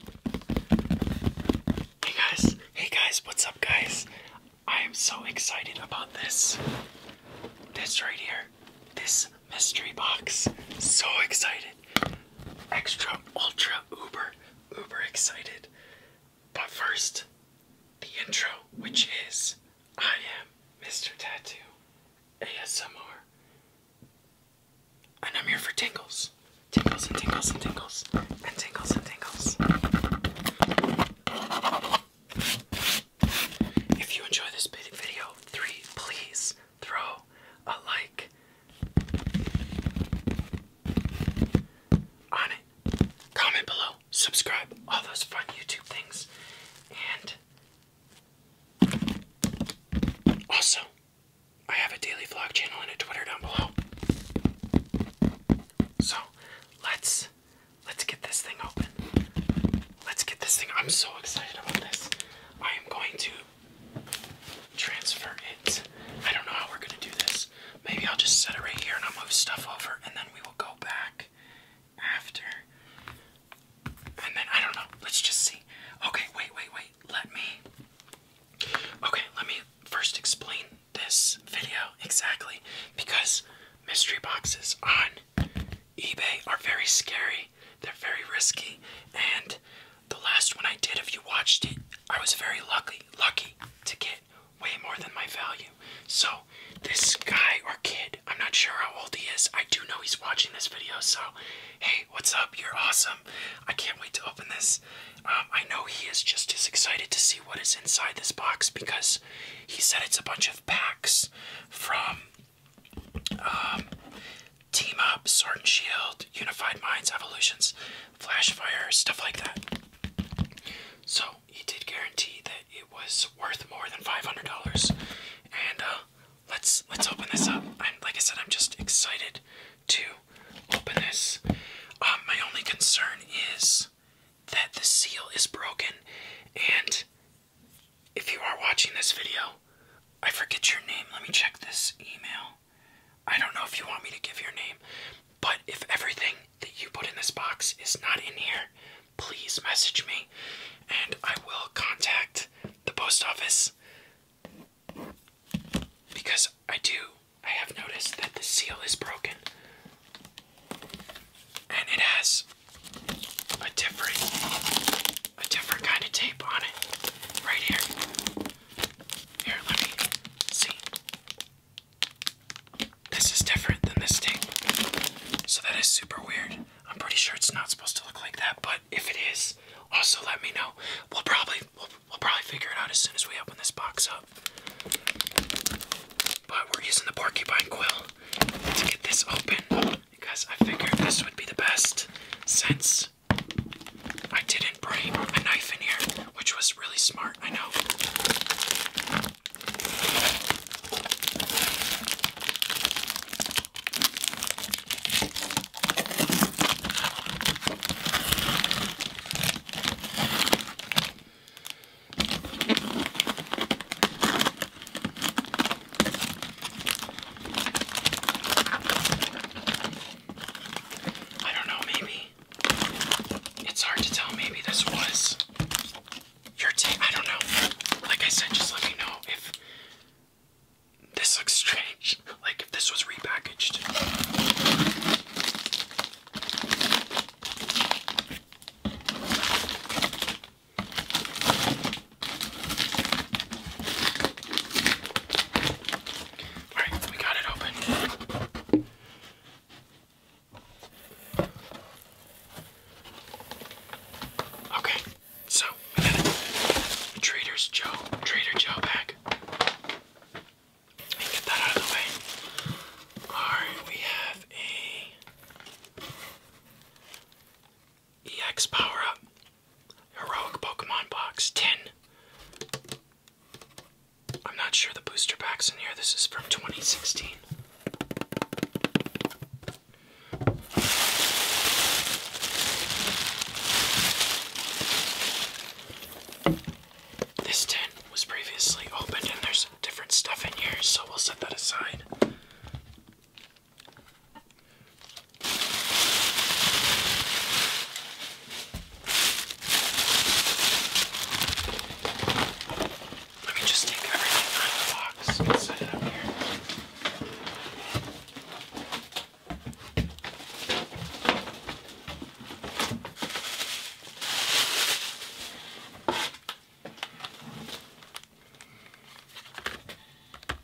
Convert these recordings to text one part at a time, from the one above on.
Hey guys, hey guys, what's up guys? I am so excited about this. This right here, this mystery box. So excited. Extra, ultra, uber, uber excited. But first, the intro, which is I am Mr. Tattoo ASMR. And I'm here for tingles. Tingles and tingles and tingles. And tingles and tingles. If you enjoy this video, three, please throw a like on it. Comment below. Subscribe. All those fun YouTube things. And also I have a daily vlog channel and a Twitter down below. So let's let's get this thing open. Let's get this thing. I'm so excited about this. I am going to transfer it. I don't know how we're gonna do this. Maybe I'll just set it right here and I'll move stuff over and then we will go back after. And then I don't know. Let's just see. Okay, wait, wait, wait let me. Okay, let me first explain this video exactly because mystery boxes on eBay are very scary, they're very risky, and the last one I did, if you watched it, I was very lucky, lucky to get way more than my value. So, this guy or kid, I'm not sure how old he is. I do know he's watching this video, so hey, what's up? You're awesome. I can't wait to open this um, I know he is just as excited to see what is inside this box because he said it's a bunch of packs from um, Team Up, Sword and Shield, Unified Minds, Evolutions, Flashfire, stuff like that. So he did guarantee that it was worth more than five hundred dollars, and uh, let's let's open this up. I'm like I said, I'm just excited to open this. Um, my only concern is that the seal is broken, and if you are watching this video, I forget your name. Let me check this email. I don't know if you want me to give your name, but if everything that you put in this box is not in here, please message me and I will contact the post office because I do, I have noticed that the seal is broken. And it has a different a different kind of tape on it. Right here. Here, let me see. This is different than this tape. So that is super weird. I'm pretty sure it's not supposed to look like that, but if it is, also let me know. We'll probably we'll probably figure it out as soon as we open this box up. But we're using the porcupine quill to get this open because I figured this would be the best since I didn't bring a knife in here, which was really smart, I know. I don't know, maybe it's hard to tell. Maybe this was your tape. I don't know. Like I said, just let me know if this looks strange like if this was repackaged. All right, we got it open. Okay, so we Joe, Trader Joe bag and get that out of the way. Alright, we have a EX power up. Heroic Pokemon box 10. I'm not sure the booster packs in here. This is from 2016. This tent was previously opened and there's different stuff in here, so we'll set that aside. Let me just take everything out of the box and set it up here.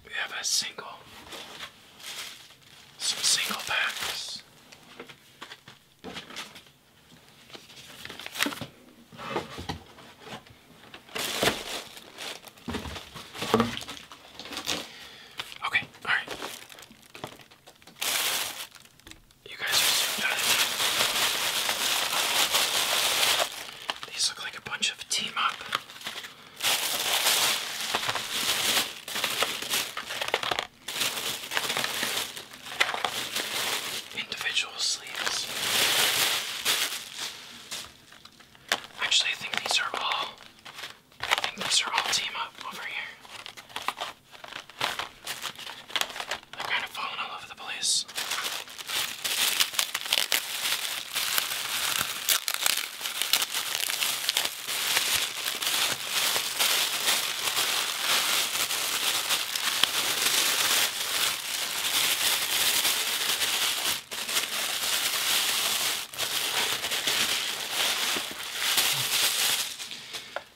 We have a single, some single packs. Okay, all right. You guys are zoomed out These look like a bunch of team up. Individual sleeves. Actually, I think these are all I think those are all team up over here. They're kind of falling all over the place.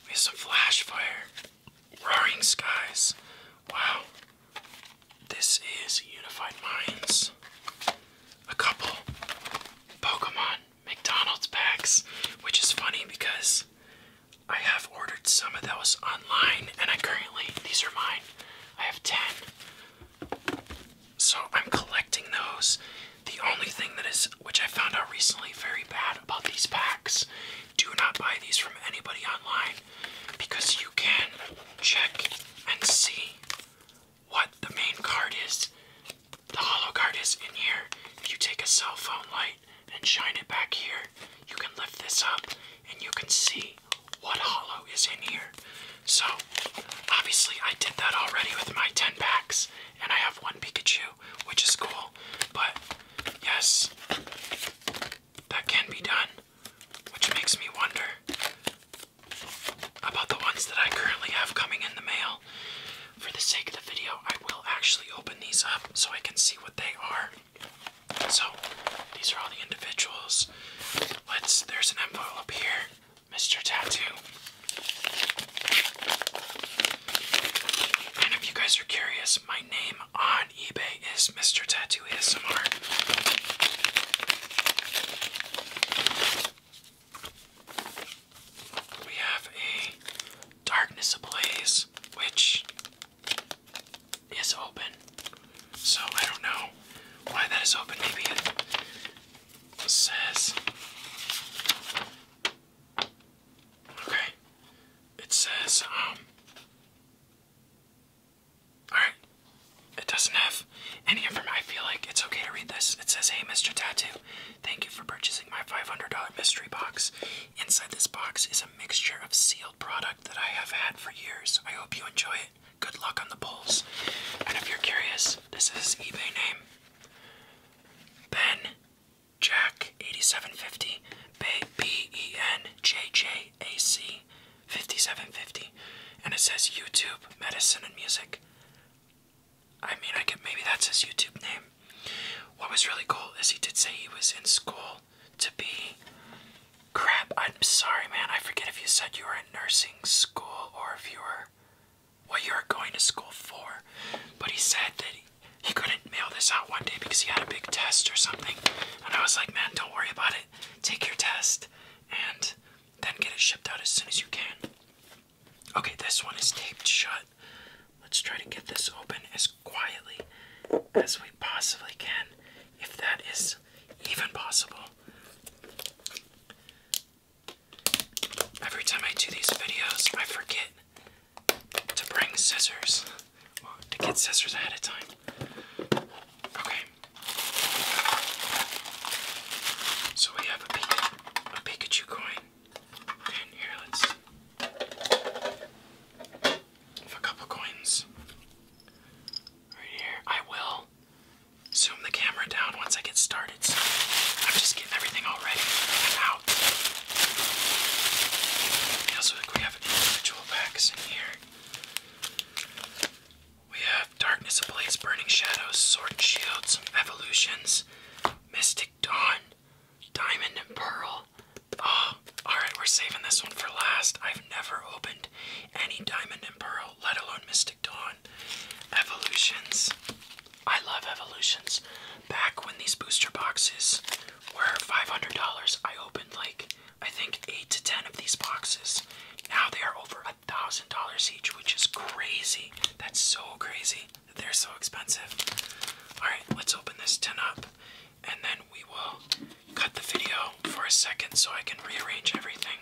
We have some flash fire. Roaring skies. Wow. This is Unified Minds. A couple Pokemon McDonald's packs, which is funny because I have ordered some of those online and I currently, these are mine. I have 10. So I'm collecting those the only thing that is, which I found out recently, very bad about these packs. Do not buy these from anybody online because you can check and see what the main card is, the hollow card is in here. If you take a cell phone light and shine it back here, you can lift this up and you can see what hollow is in here. So, obviously, I did that already with my 10 packs and I have one Pikachu, which is cool. But yes, that can be done, which makes me wonder about the ones that I currently have coming in the mail. For the sake of the video, I will actually open these up so I can see what they are. So these are all the individuals. Let's there's an envelope here. Mr. Tattoo if you guys are curious, my name on eBay is Mr. Tattoo ASMR. We have a Darkness Ablaze, which is open. So I don't know why that is open. Maybe it says Okay. It says, um. Alright. It doesn't have any information. I feel like it's okay to read this. It says, Hey, Mr. Tattoo, thank you for purchasing my $500 mystery box. Inside this box is a mixture of sealed product that I have had for years. I hope you enjoy it. Good luck on the polls. And if you're curious, this is eBay name Ben Jack 8750, B E N J J A C 5750, and it says YouTube Medicine and Music. I mean, I could maybe that's his YouTube name. What was really cool is he did say he was in school to be. Crap, I'm sorry, man. I forget if you said you were in nursing school or if you were what you were going to school for. But he said that he couldn't mail this out one day because he had a big test or something. And I was like, man, don't worry about it. Take your test and then get it shipped out as soon as you can. Okay, this one is taped shut. Let's try to get this open as quietly as we possibly can, if that is even possible. Every time I do these videos, I forget to bring scissors, to get scissors ahead of time. Okay. So we have a, Pikachu, coin. And here, let's a couple coins right here. I will zoom the camera down once I get started. I'm just getting everything all we also we have individual packs in here. We have Darkness of Blaze, Burning Shadows, Sword and Shield, some Evolutions, Mystic Dawn, Diamond and Pearl. Oh, alright, we're saving this one for last. I've never opened any Diamond and Pearl, let alone Mystic Dawn. Evolutions. I love Evolutions. Back when these booster boxes were $500, I opened like I think eight to ten of these boxes. Now they are over a thousand dollars each, which is crazy. That's so crazy. They're so expensive. All right, let's open this tin up, and then we will cut the video for a second so I can rearrange everything.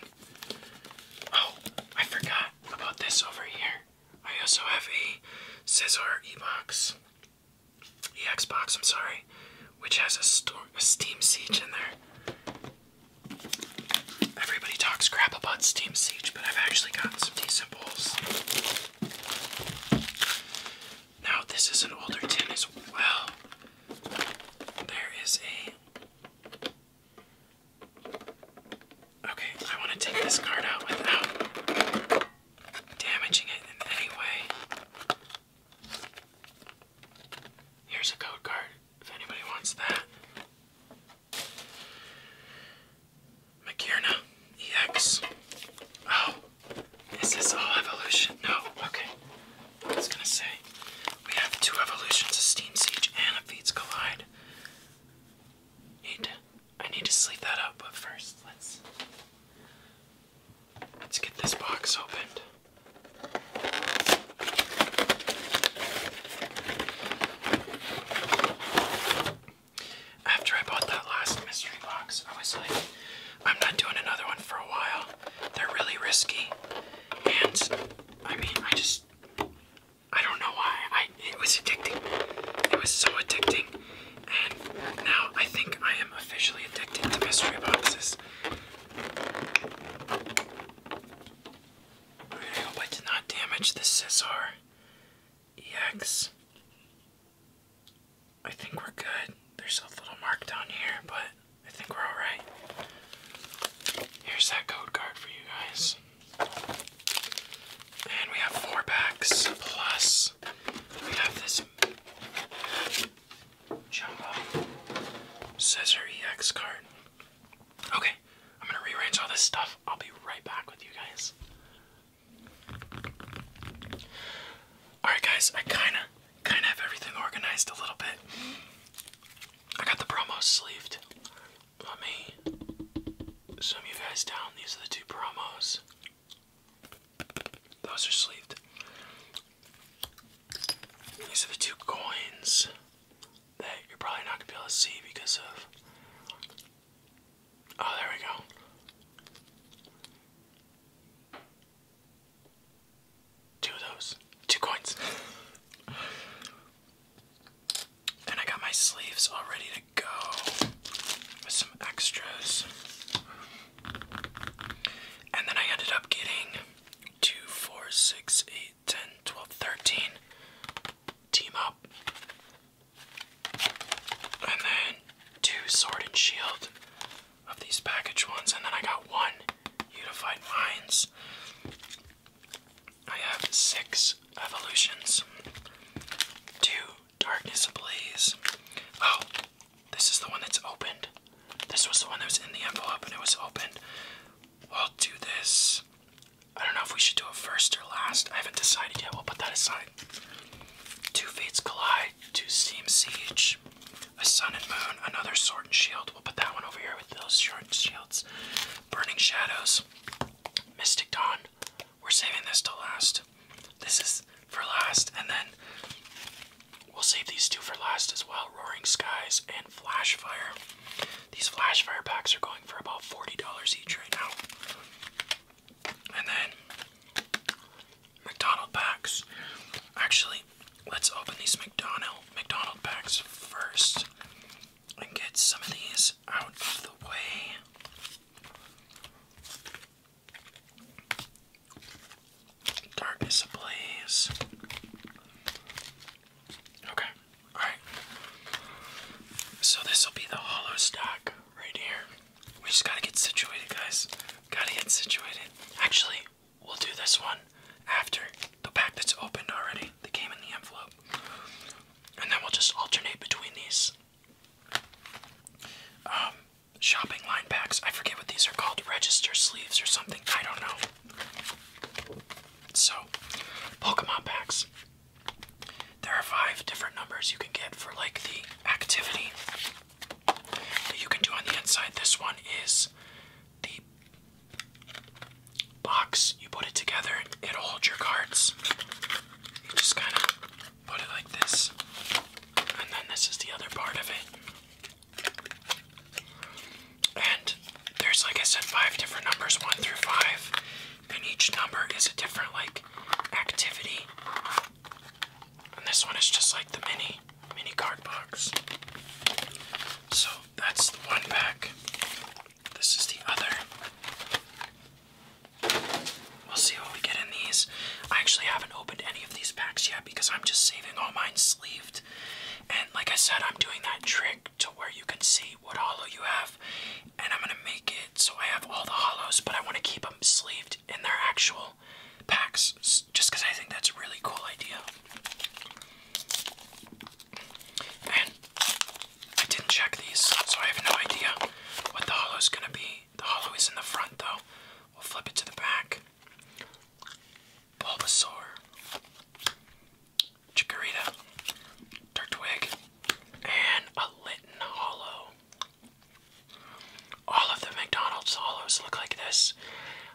Oh, I forgot about this over here. I also have a Scissor E-Box, EX box, I'm sorry, which has a, Steam Siege in there. Everybody talks crap about Steam Siege, but I've actually gotten some decent bowls. Now, this is an older tin as well. There is a. Okay, I want to take this card out without damaging it in any way. Here's a code card if anybody wants that. Makirna EX. Oh, is this all evolution? No, okay. I was gonna say, we have two evolutions, a Steam Siege and a Feeds Collide. Need I need to sleep that up, but first let's let's get this box opened. After I bought that last mystery box, I was like, I'm not doing another one for a while. They're really risky. And I mean, I just I don't know why. I it was addicting. It was so addicting. And now I think I am officially addicted to mystery boxes. I hope I did not damage the Scizor EX. I think we're good. There's a little mark down here, but I think we're alright. Here's that code card for you guys. And we have four packs, plus we have this jumbo scissor EX card. Okay, I'm gonna rearrange all this stuff. I'll be right back with you guys. Alright guys, I kinda, kinda have everything organized a little bit. I got the promos sleeved. Let me sum you guys down. These are the two promos. Those are sleeved. These are the two coins that you're probably not gonna be able to see because of. Oh, there we go. Two of those. Two coins. and I got my sleeves all ready go with some extras. And then I ended up getting 2, 4, 6, 8, 10, 12, 13. Team up. And then two sword and shield of these package ones. And then I got one unified minds. I have six evolutions. Two Darkness Ablaze. Oh, this is the one that's opened. This was the one that was in the envelope and it was opened. We'll do this. I don't know if we should do it first or last. I haven't decided yet. We'll put that aside. Two Fates Collide, Two seem Siege, A Sun and Moon, another Sword and Shield. We'll put that one over here with those short shields. Burning Shadows, Mystic Dawn, we're saving this to last. This is for last, and then we'll save these two for last as well Roaring Skies and Flash Fire. These Flash Fire packs are going for about $40 each right now. And then McDonald packs. Actually, let's open these McDonald McDonald packs first and get some of these out of the way. Darkness ablaze. Okay, alright. So this will be the hollow stack right here. We just gotta get situated, guys. Gotta get situated. Actually, we'll do this one after the pack that's opened already, that came in the envelope. And then we'll just alternate between these. Um, shopping line packs. I forget what these are called, register sleeves or something. I don't know. So, Pokemon packs. There are five different numbers you can get for like the activity that you can do on the inside. This one is the box. You put it together, it'll hold your cards. You just kind of put it like this, and then this is the other part of it. And there's, like I said, five different numbers, one through five, and each number is a different, like, activity. And this one is just like the mini, mini card box. So that's the one pack. This is the other. We'll see what we get in these. I actually haven't opened any of these packs yet because I'm just saving all mine sleeved. And like I said, I'm doing that trick to where you can see what hollow you have. And I'm going to make it so I have all the hollows, but I want to keep them sleeved in their actual packs just because I think that's a really cool idea. And I didn't check these, so I have no idea what the hollow's going to be. The hollow is in the front though. We'll flip it to the back. Bulbasaur. Chikorita. Turtwig. And a Litten All of the McDonald's hollows look like this.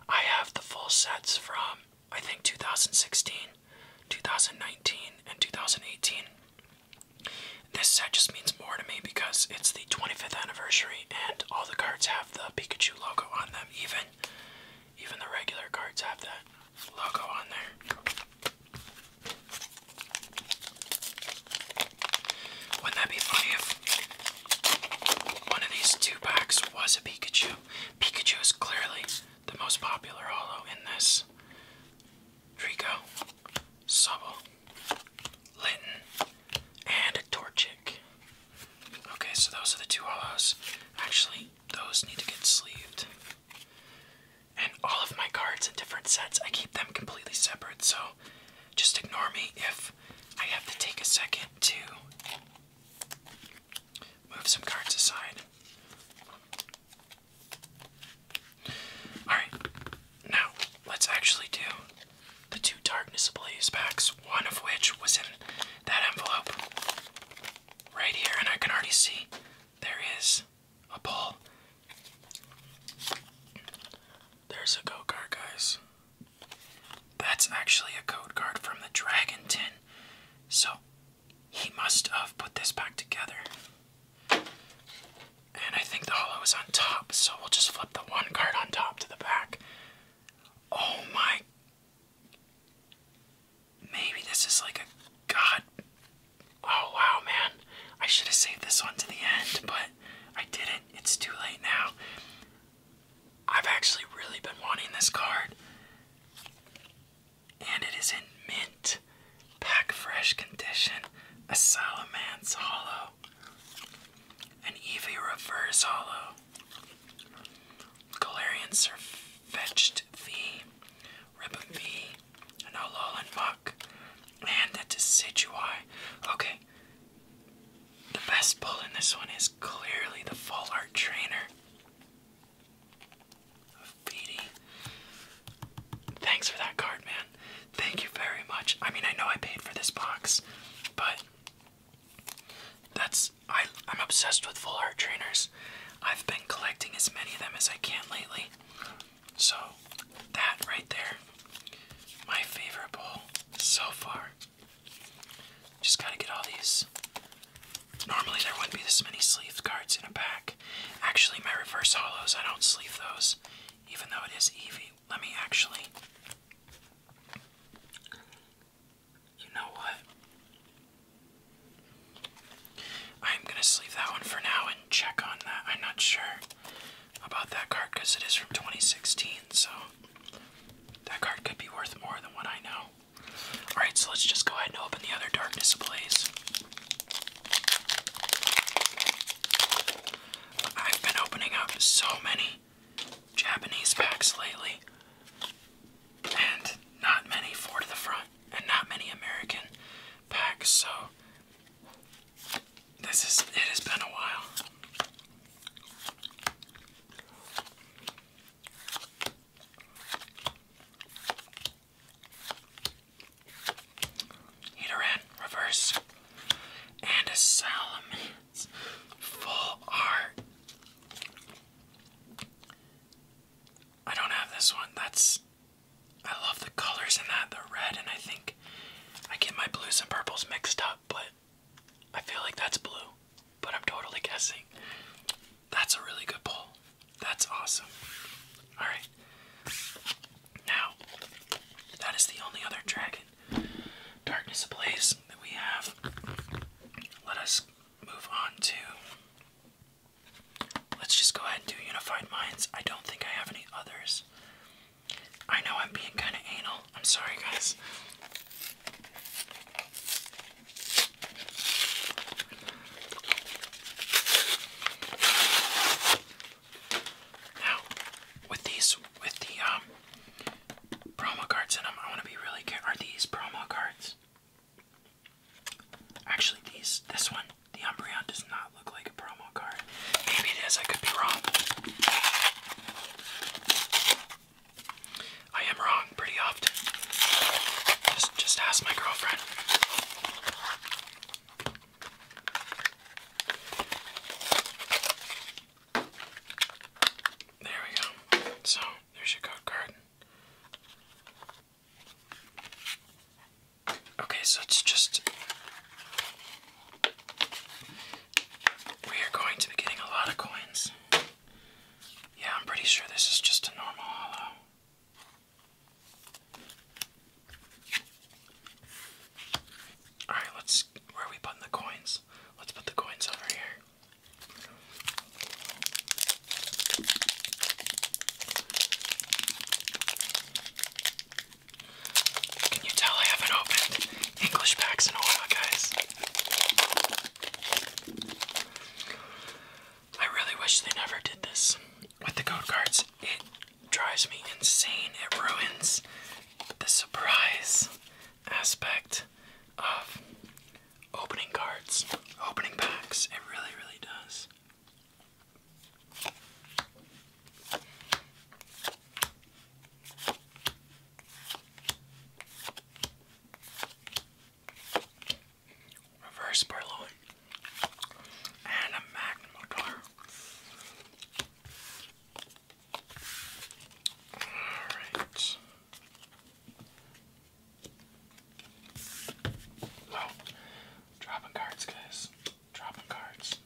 I have the full sets from I think 2016, 2019, and 2018. This set uh, just means more to me because it's the 25th anniversary and all the cards have the Pikachu logo on them. Even even the regular cards have that logo on there. Wouldn't that be funny if one of these two packs was a Pikachu? Pikachu is clearly the most popular holo in this. Trico, Sobble, Linton, and Torchic. Okay, so those are the two hollows. Actually, those need to get sleeved. And all of my cards in different sets, I keep them completely separate, so just ignore me if I have to take a second to move some cards aside. Alright, now, let's actually do the two Darkness Ablaze packs, one of which was in that envelope right here, and I can already see there is a ball. There's a code card, guys. That's actually a code card from the Dragon Tin. So he must have put this back together. And I think the hollow is on top, so we'll just flip the one card on top to the back. Oh my. Maybe this is like a god. Oh wow, man. I should have saved this one to the end, but I didn't. It's too late now. I've actually really been wanting this card. And it is in mint, pack fresh condition, a Salamance Hollow an Eevee Reverse Hollow, Galarian Surfetched V, Ribbon an Alolan Muck, and a Decidueye. Okay, the best pull in this one is clearly the Full Art Trainer of Thanks for that card, man. Thank you very much. I mean, I know I paid for this box, but that's I am obsessed with full art trainers. I've been collecting as many of them as I can lately. So, that right there, my favorite ball so far. Just gotta get all these. Normally, there wouldn't be this many sleeve cards in a pack. Actually, my reverse hollows, I don't sleeve those, even though it is Eevee let me actually. You know what? I'm gonna leave that one for now and check on that. I'm not sure about that card because it is from 2016, so that card could be worth more than what I know. Alright, so let's just go ahead and open the other Darkness displays. I've been opening up so many Japanese packs lately, and not many four to the front, and not many American packs. So this is it has been a while. Heateran reverse and a Salamine. Full art. I don't have this one. That's. I love the colors in that, the red, and I think I get my blues and purples mixed up, but I feel like that's blue, but I'm totally guessing. That's a really good pull. That's awesome. Alright. Now, that is the only other dragon in Darkness Ablaze that we have. Let us move on to. Let's just go ahead and do Unified Minds. I don't think I have any others. I know I'm being kind of anal. I'm sorry, guys. Now, with these, with the um, promo cards in them. I want to be really careful. Are these promo cards? Actually, these, this one, the Umbreon does not look like a promo card. Maybe it is. I could be wrong. I am wrong pretty often. Just, just ask my girlfriend. There we go. So, there's your code card. Okay, so it's just. We are going to be getting a lot of coins. Yeah, I'm pretty sure this is just a normal hollow. Alright, let's. Where are we putting the coins? Let's put the coins over here. Can you tell I haven't opened English packs in a while, guys? I really wish they never did this with the code cards. It drives me insane. It ruins the surprise aspect of opening cards, opening packs. It really, really does. Reverse Burloin and a Magnum Motor. All right. Oh, dropping cards, guys. Dropping cards.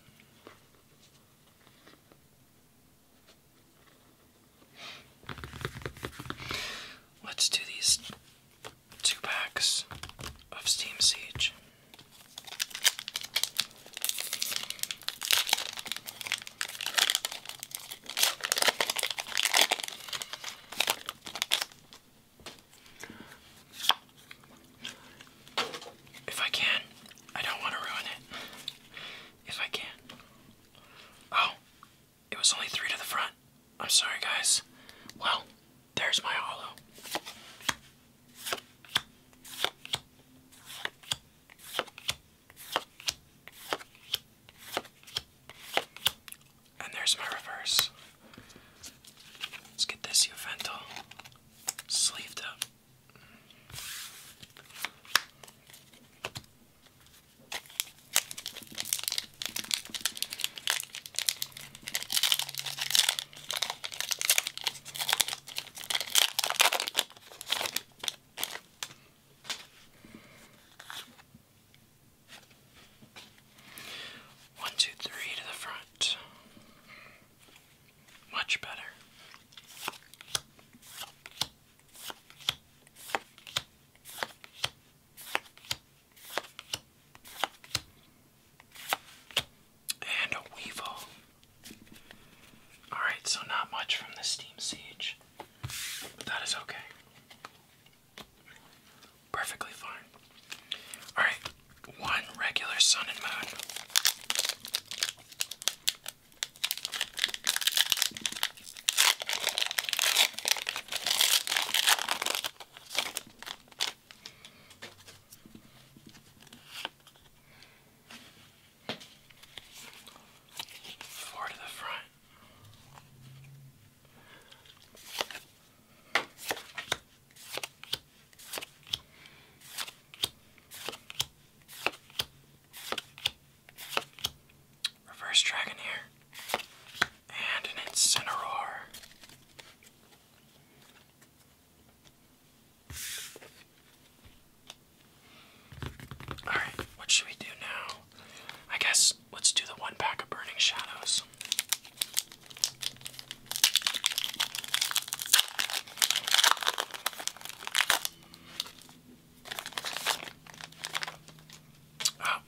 Let's do these two packs of Steam Siege. If I can, I don't want to ruin it. If I can. Oh, it was only three to the front. I'm sorry, guys. Well, there's my hollow. And there's my reverse. Let's get this Uvental sleeved up. One, two, three to the front. Much better. And a weevil. Alright, so not much from the Steam Siege. But that is okay. Perfectly fine. Alright, one regular Sun and Moon. Four to the front. Reverse dragon And an incineroar. Alright, what should we do now? I guess let's do the one pack of Burning Shadows. Oh,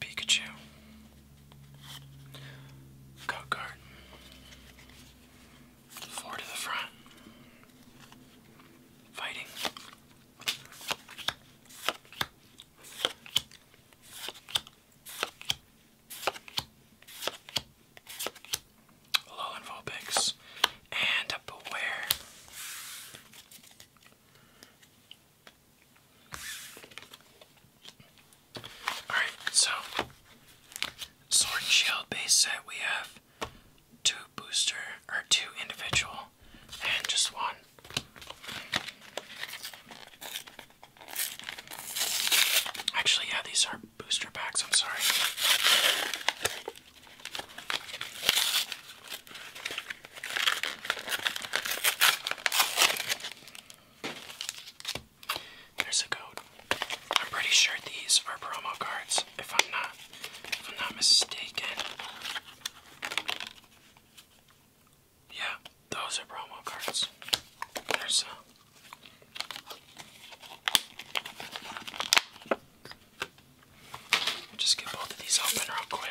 Pikachu. Go Garden. Four to the front. Fighting. Alolan Vulpix. And Beware. Alright, so Sword and Shield base set we have two booster, or two individual, and just one. Actually, yeah, these are booster packs, I'm sorry. There's a code. I'm pretty sure these are promo cards if I'm not if I'm not mistaken. Yeah, those are promo cards. There's a uh, just get both of these open real quick.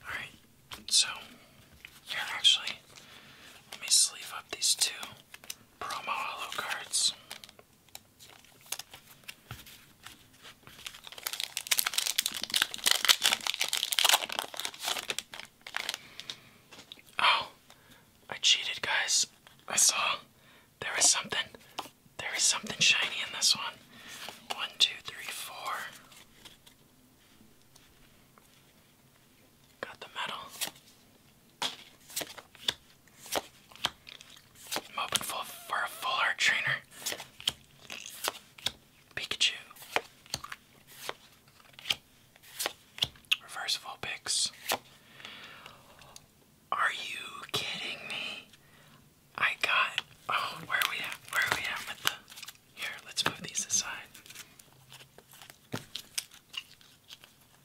Alright, so here actually, let me sleeve up these two promo holo cards. Oh, I cheated, guys. I saw there was something there is something shiny in this one. One, two, three, four. Got the medal. I'm for a full art trainer. Pikachu. Reverse Vulpix. Are you kidding me? I got. Oh, where are we at? Where are we at with the. Here, let's move these aside.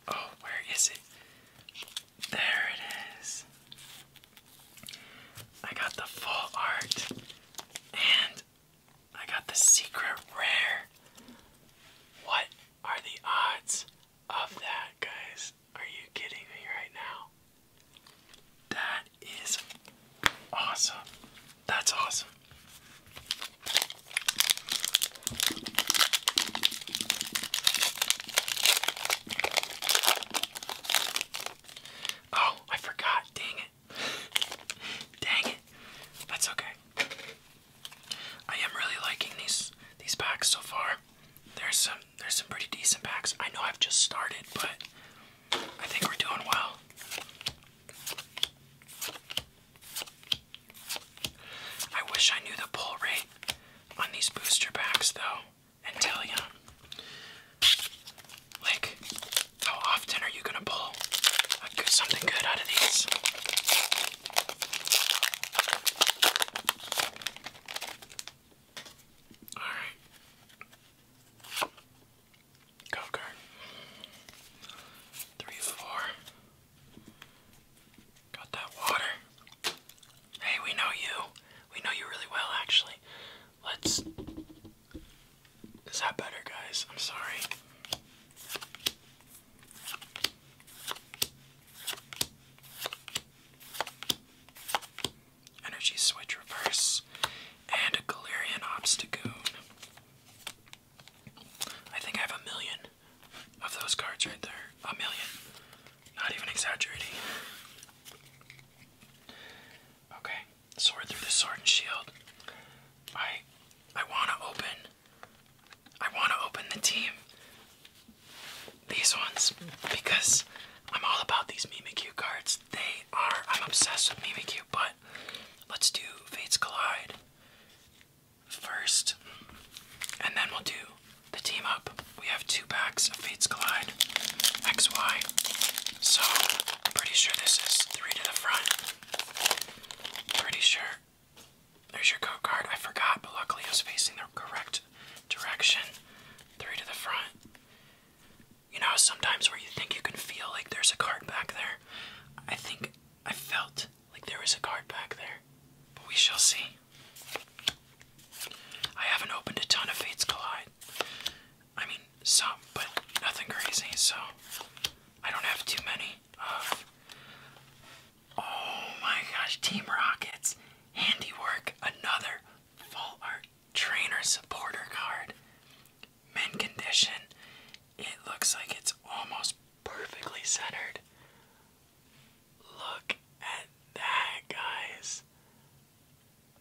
Oh, where is it? There it is. I got the full art and I got the secret rare. What are the odds? of that, guys. Are you kidding me right now? That is awesome. That's awesome. Oh, I forgot. Dang it. Dang it. That's okay. I am really liking these these packs so far. There's some there's some pretty decent packs. I know I've just started, but I think we're doing well. I wish I knew the pull rate on these booster packs though, until you like how often are you gonna pull a good, something good out of these? All right. Go card. Three, four. Got that water. Hey, we know you. We know you really well, actually. Let's. Is that better, guys? I'm sorry. Energy Switch Reverse, and a Galarian Obstagoon. I think I have a million of those cards right there. A million. Not even exaggerating. Okay, sword through the sword and shield. I I wanna open I wanna open the team these ones because I'm all about these Mimikyu cards. They are, I'm obsessed with Mimikyu, but let's do Fates Collide first, and then we'll do the team up. We have two packs of Fates Collide XY, so I'm pretty sure this is three to the front. Pretty sure. There's your code card. I forgot, but luckily it was facing the correct direction. Three to the front. You know, sometimes where you think you can feel like there's a card back there. I think I felt like there was a card back there. But we shall see. I haven't opened a ton of Fates Collide. I mean, some, but nothing crazy, so I don't have too many. oh my gosh, Team Rockets. Handiwork, another full art trainer supporter card. Mint condition. It looks like it's almost perfectly centered. Look at that, guys.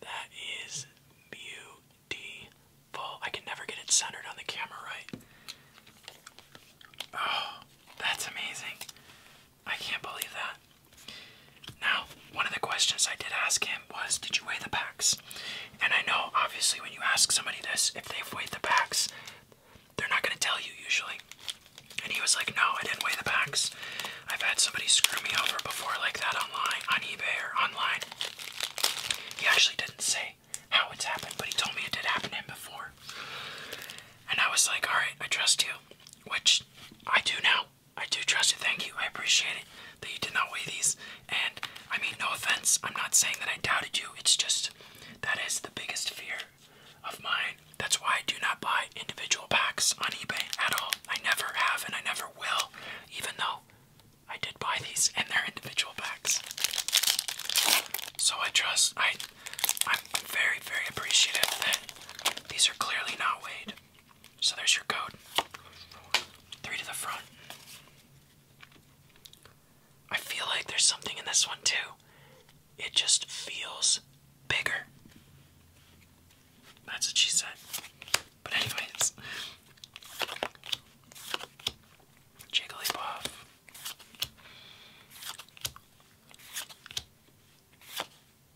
That is beautiful. I can never get it centered on the camera right. Oh, that's amazing. I can't believe that. Now, one of the questions I did ask him was, Did you weigh the packs? And I know, obviously, when you ask somebody this, if they've weighed the packs, they're not going to tell you usually. And he was like, No, I didn't weigh the packs. I've had somebody screw me over before like that online, on eBay or online. He actually didn't say how it's happened, but he told me it did happen to him before. And I was like, Alright, I trust you. Which I do now. I do trust you. Thank you. I appreciate it that you did not weigh these. And I mean, no offense. I'm not saying that I doubted you. It's just that is the biggest fear of mine. That's why I do not buy individual packs on eBay at all. I never have and I never will, even though I did buy these in their individual packs. So I trust, I, I'm very, very appreciative that these are clearly not weighed. So there's your code. Three to the front. I feel like there's something in this one too. It just feels bigger. That's what she said. But anyways. Jigglypuff.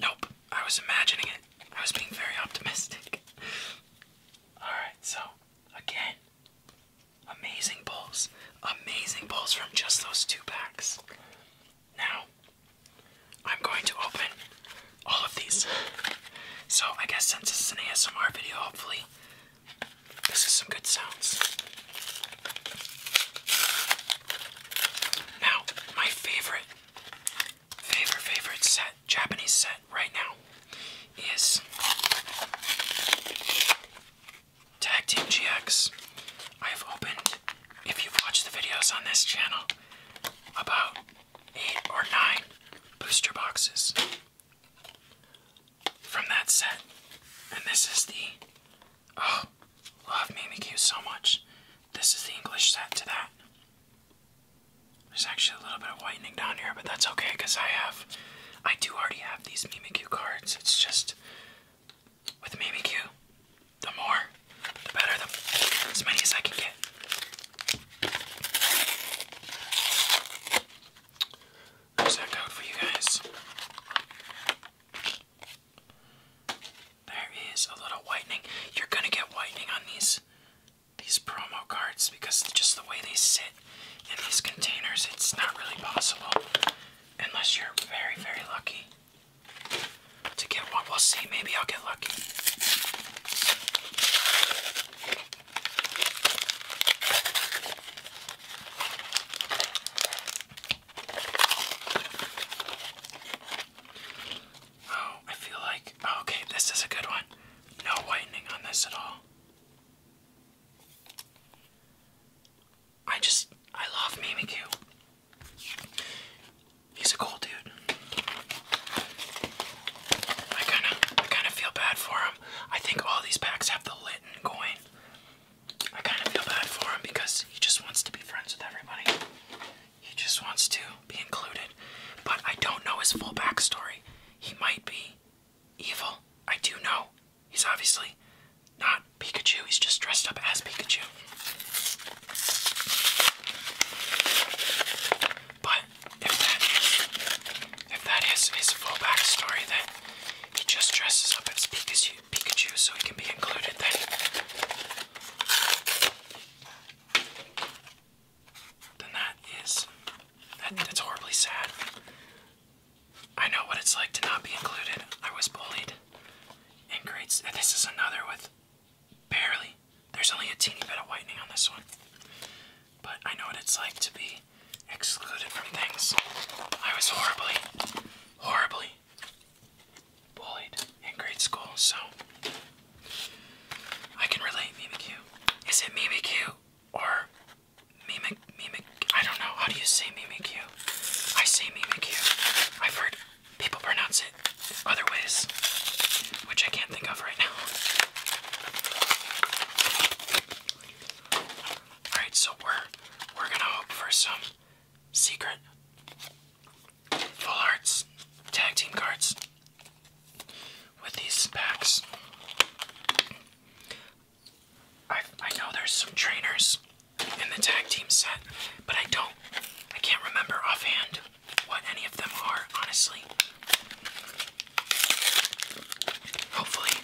Nope, I was imagining it. I was being very optimistic. Alright, so again, amazing pulls. Amazing pulls from just those two packs. Now, I'm going to open all of these. So, I guess since this is an ASMR video, hopefully, this is some good sounds. Now, my favorite favorite favorite set, Japanese set right now is Tag Team GX. I've opened, if you've watched the videos on this channel, about eight or nine booster boxes from that set. And this is the oh love Mimikyu so much. This is the English set to that. There's actually a little bit of whitening down here, but that's okay because I have, I do already have these Mimikyu cards. It's just with Mimikyu, the more, the better, the, as many as I can get. There's that code for you guys. There is a little whitening. You're gonna get whitening on these these promo cards because just the way they sit in these containers, it's not really possible unless you're very, very lucky to get one. We'll see. Maybe I'll get lucky. Oh, I feel like. Oh, okay, this is a good one. No whitening on this at all. I just. I love Mimikyu. He's a cool dude. I kind of. I kind of feel bad for him. I think all these packs have the Litten going. I kind of feel bad for him because he just wants to be friends with everybody. He just wants to be included. But I don't know his full backstory. He might be evil. I do know. He's obviously not Pikachu, he's just dressed up as Pikachu. But if that is if that is his full backstory then he just dresses up as Pikachu Pikachu so he can be included then then that is that's horribly sad. I know what it's like to not be included. I was bullied in grades. this is another with barely. There's only a teeny bit of whitening on this one. But I know what it's like to be excluded from things. I was horribly, horribly bullied in grade school, so I can relate Mimi Q. Is it Mimi Q. or Mimic Mimic? I don't know. How do you say Mimi Q. I say Mimi Q. have heard people pronounce it other ways, which I can't think of right now. All right, so we're we're gonna hope for some secret full arts tag team cards with these packs. I, I know there's some trainers in the tag team set, but I don't, I can't remember offhand what any of them are, honestly. Hopefully,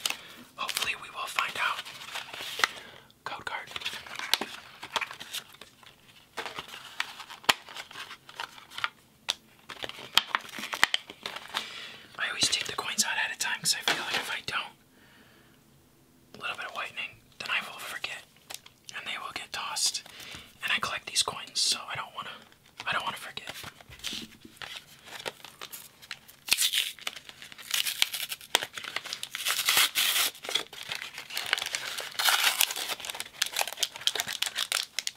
hopefully we will find out. Code card. I always take the coins out ahead of time because I feel like if I don't, a little bit of whitening, then I will forget, and they will get tossed. And I collect these coins, so I don't wanna, I don't wanna forget.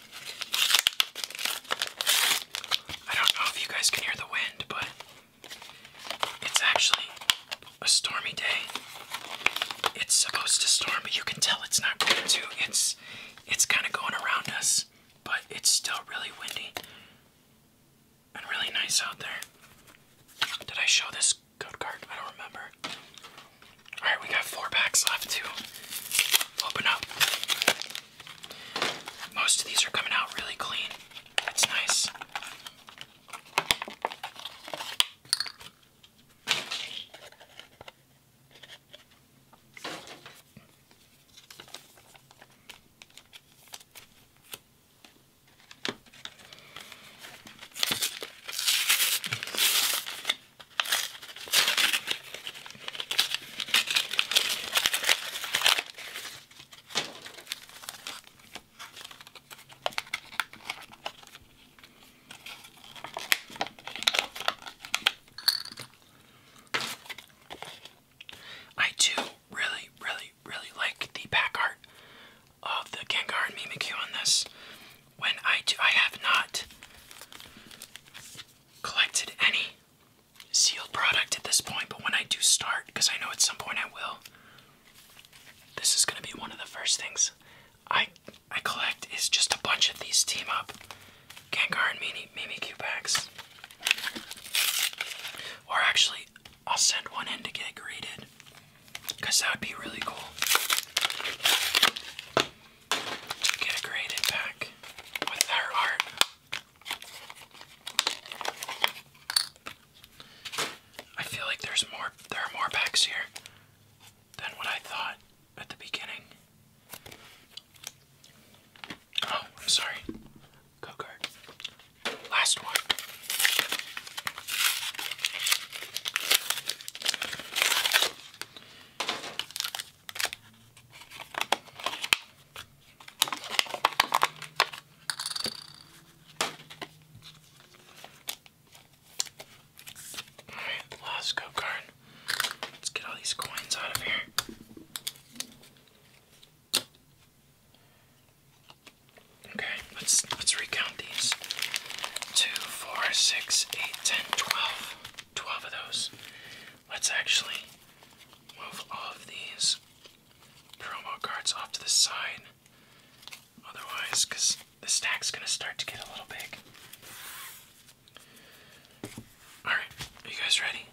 I don't know if you guys can hear the wind, but it's actually a stormy day. It's supposed to storm, but you can tell it's not going to. It's it's kind of going around us, but it's still really windy and really nice out there. Did I show this code card? I don't remember. All right, we got four packs left to open up. Most of these are coming out really clean. That's nice. I do really, really, really like the back art of the Gengar and Mimikyu on this. When I do, I have not collected any sealed product at this point, but when I do start, because I know at some point I will, this is gonna be one of the first things I I collect is just a bunch of these team up Gengar and Mimi Mimikyu packs. Or actually, I'll send one in to get graded. Because that would be really cool to get a great impact with her art. I feel like there's more there are more packs here than what I thought at the beginning. Oh, I'm sorry. Go card. Last one. Alright, the card. Let's get all these coins out of here. Okay, let's let's recount these. Two, four, six, eight, ten, twelve. Twelve of those. Let's actually move all of these promo cards off to the side. Otherwise, because the stack's going to start to get a little big. Alright, are you guys ready?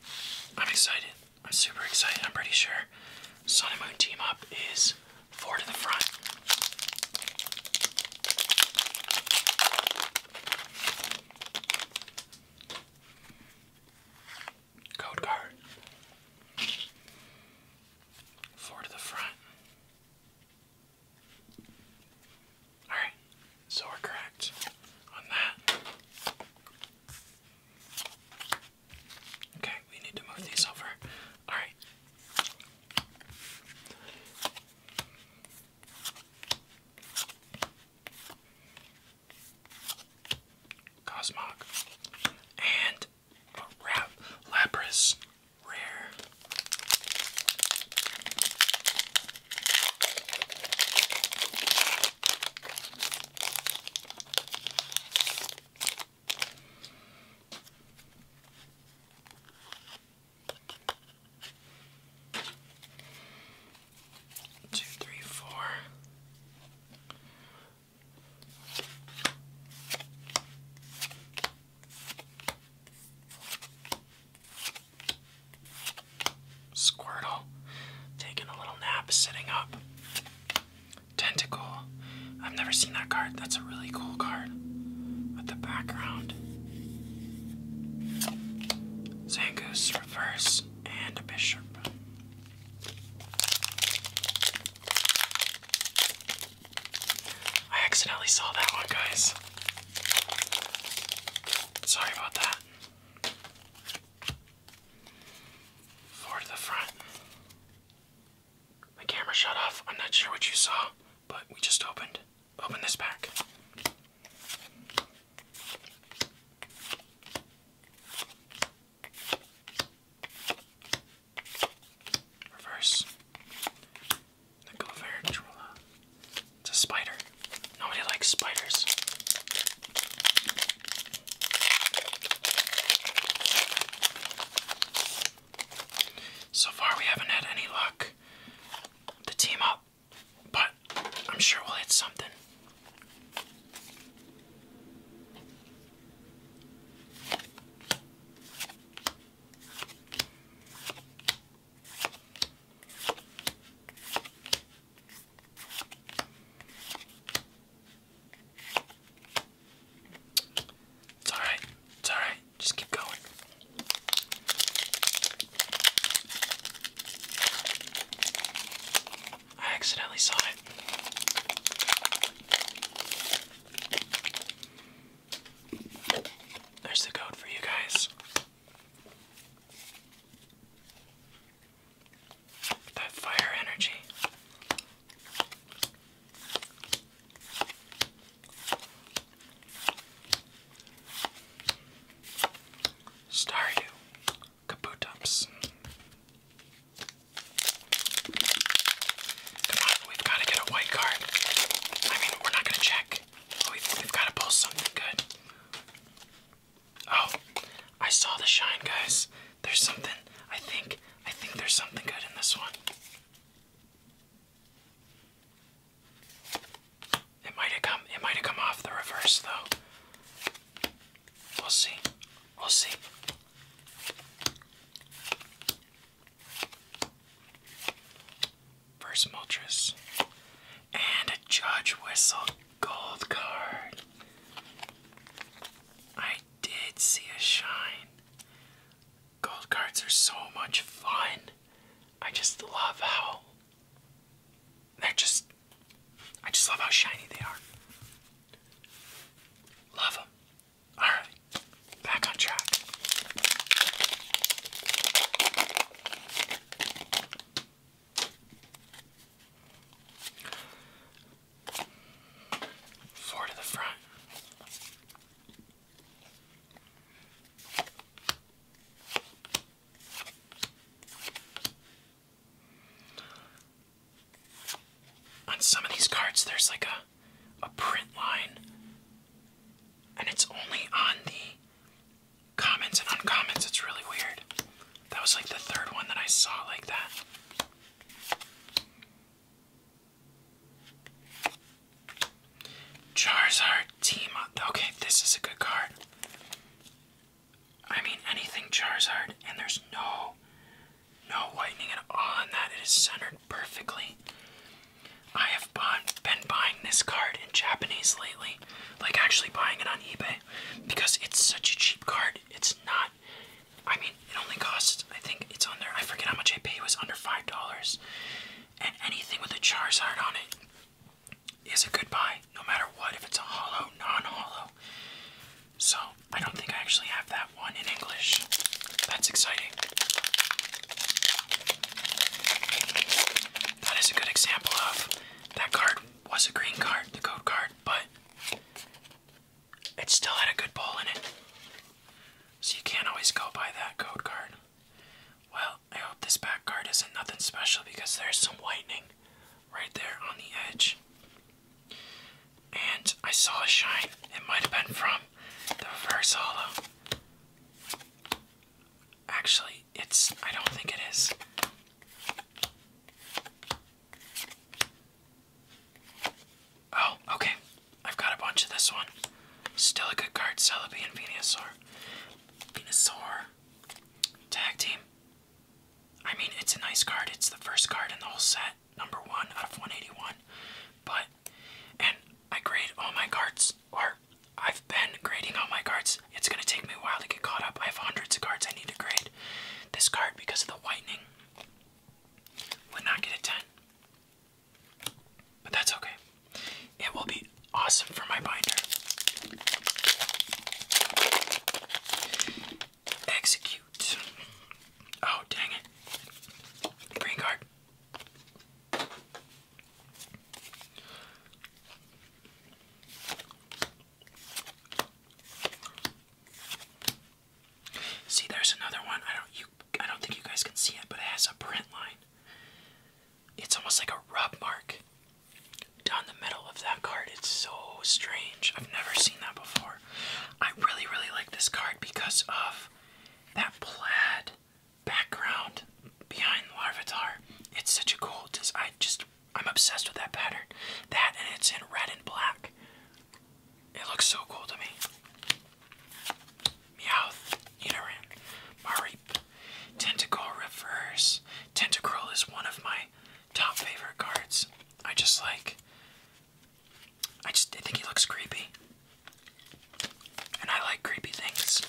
I'm excited. I'm super excited. I'm pretty sure Sun and Moon Team Up is four to the front. Code card. Four to the front. Alright, so we're correct on that. Okay, we need to move these over. Alright. Cosmog, and a Rap Lapras Rare two, three, four. Squirtle, taking a little nap, sitting up. Tentacle, I've never seen that card. That's a really cool card with the background. Zangoose, reverse and a bishop. I accidentally saw that one, guys. Sorry about that. Four the front. My camera shut off. I'm not sure what you saw, but we just opened. Open this pack. Reverse. Nickel Verantula. It's a spider. Nobody likes spiders. So far, we haven't had any luck. The team up but I'm sure we'll hit something. It's alright, it's alright, just keep going. I accidentally saw it. There's the code for you guys. That fire energy. Star you. Kabutops. Come on, we've got to get a white card. I mean, we're not going to check, oh, we've got to pull something good. Oh, I saw the shine, guys. There's something. I think. I think there's something good in this one. It might have come it might have come off the reverse though. We'll see. We'll see. First Moltres. And a Judge Whistle gold card. I did see a shine. Gold cards are so much fun. I just love how they're just, I just love how shiny they are. Love them. Alright, back on track. Four to the front. On some of these cards, there's like a, a print line, and it's only on the comments and uncommons. It's really weird. That was like the third one that I saw like that. Charizard team up. Okay, this is a good card. I mean anything Charizard, and there's no no whitening at all on that. It is centered perfectly. I have been buying this card in Japanese lately, like actually buying it on eBay, because it's such a cheap card. It's not. I mean, it only costs. I think it's under. I forget how much I paid. It was under five dollars, and anything with a Charizard on it is a good goodbye, no matter what, if it's a hollow, non-hollow. So I don't think I actually have that one in English. That's exciting. That is a good example of that card was a green card, the code card, but it still had a good ball in it. So you can't always go by that code card. Well, I hope this back card isn't nothing special because there's some whitening right there on the edge. And I saw a shine. It might have been from the reverse hollow. Actually, it's, I don't think it is. Oh, okay. I've got a bunch of this one. Still a good card, Celebi and Venusaur. Venusaur. Tag team. I mean, it's a nice card. It's the first card in the whole set, number one out of 181. But, and I grade all my cards, or I've been grading all my cards. It's gonna take me a while to get caught up. I have hundreds of cards I need to grade. This card, because of the whitening, would not get a 10. But that's okay. It will be awesome for my binder. Execute. Oh, dang it. Green See, there's another one. I don't you I don't think you guys can see it, but it has a print line. It's almost like a rub mark down the middle of that card. It's so strange. I've never seen that before. I really, really like this card because of that plaid background behind Larvitar. It's such a cool design. I just, I'm obsessed with that pattern. That and it's in red and black. It looks so cool to me. Meowth, Nidoran, Mareep, Tentacle Reverse. Tentacruel is one of my top favorite cards. I just like I just I think he looks creepy. And I like creepy things.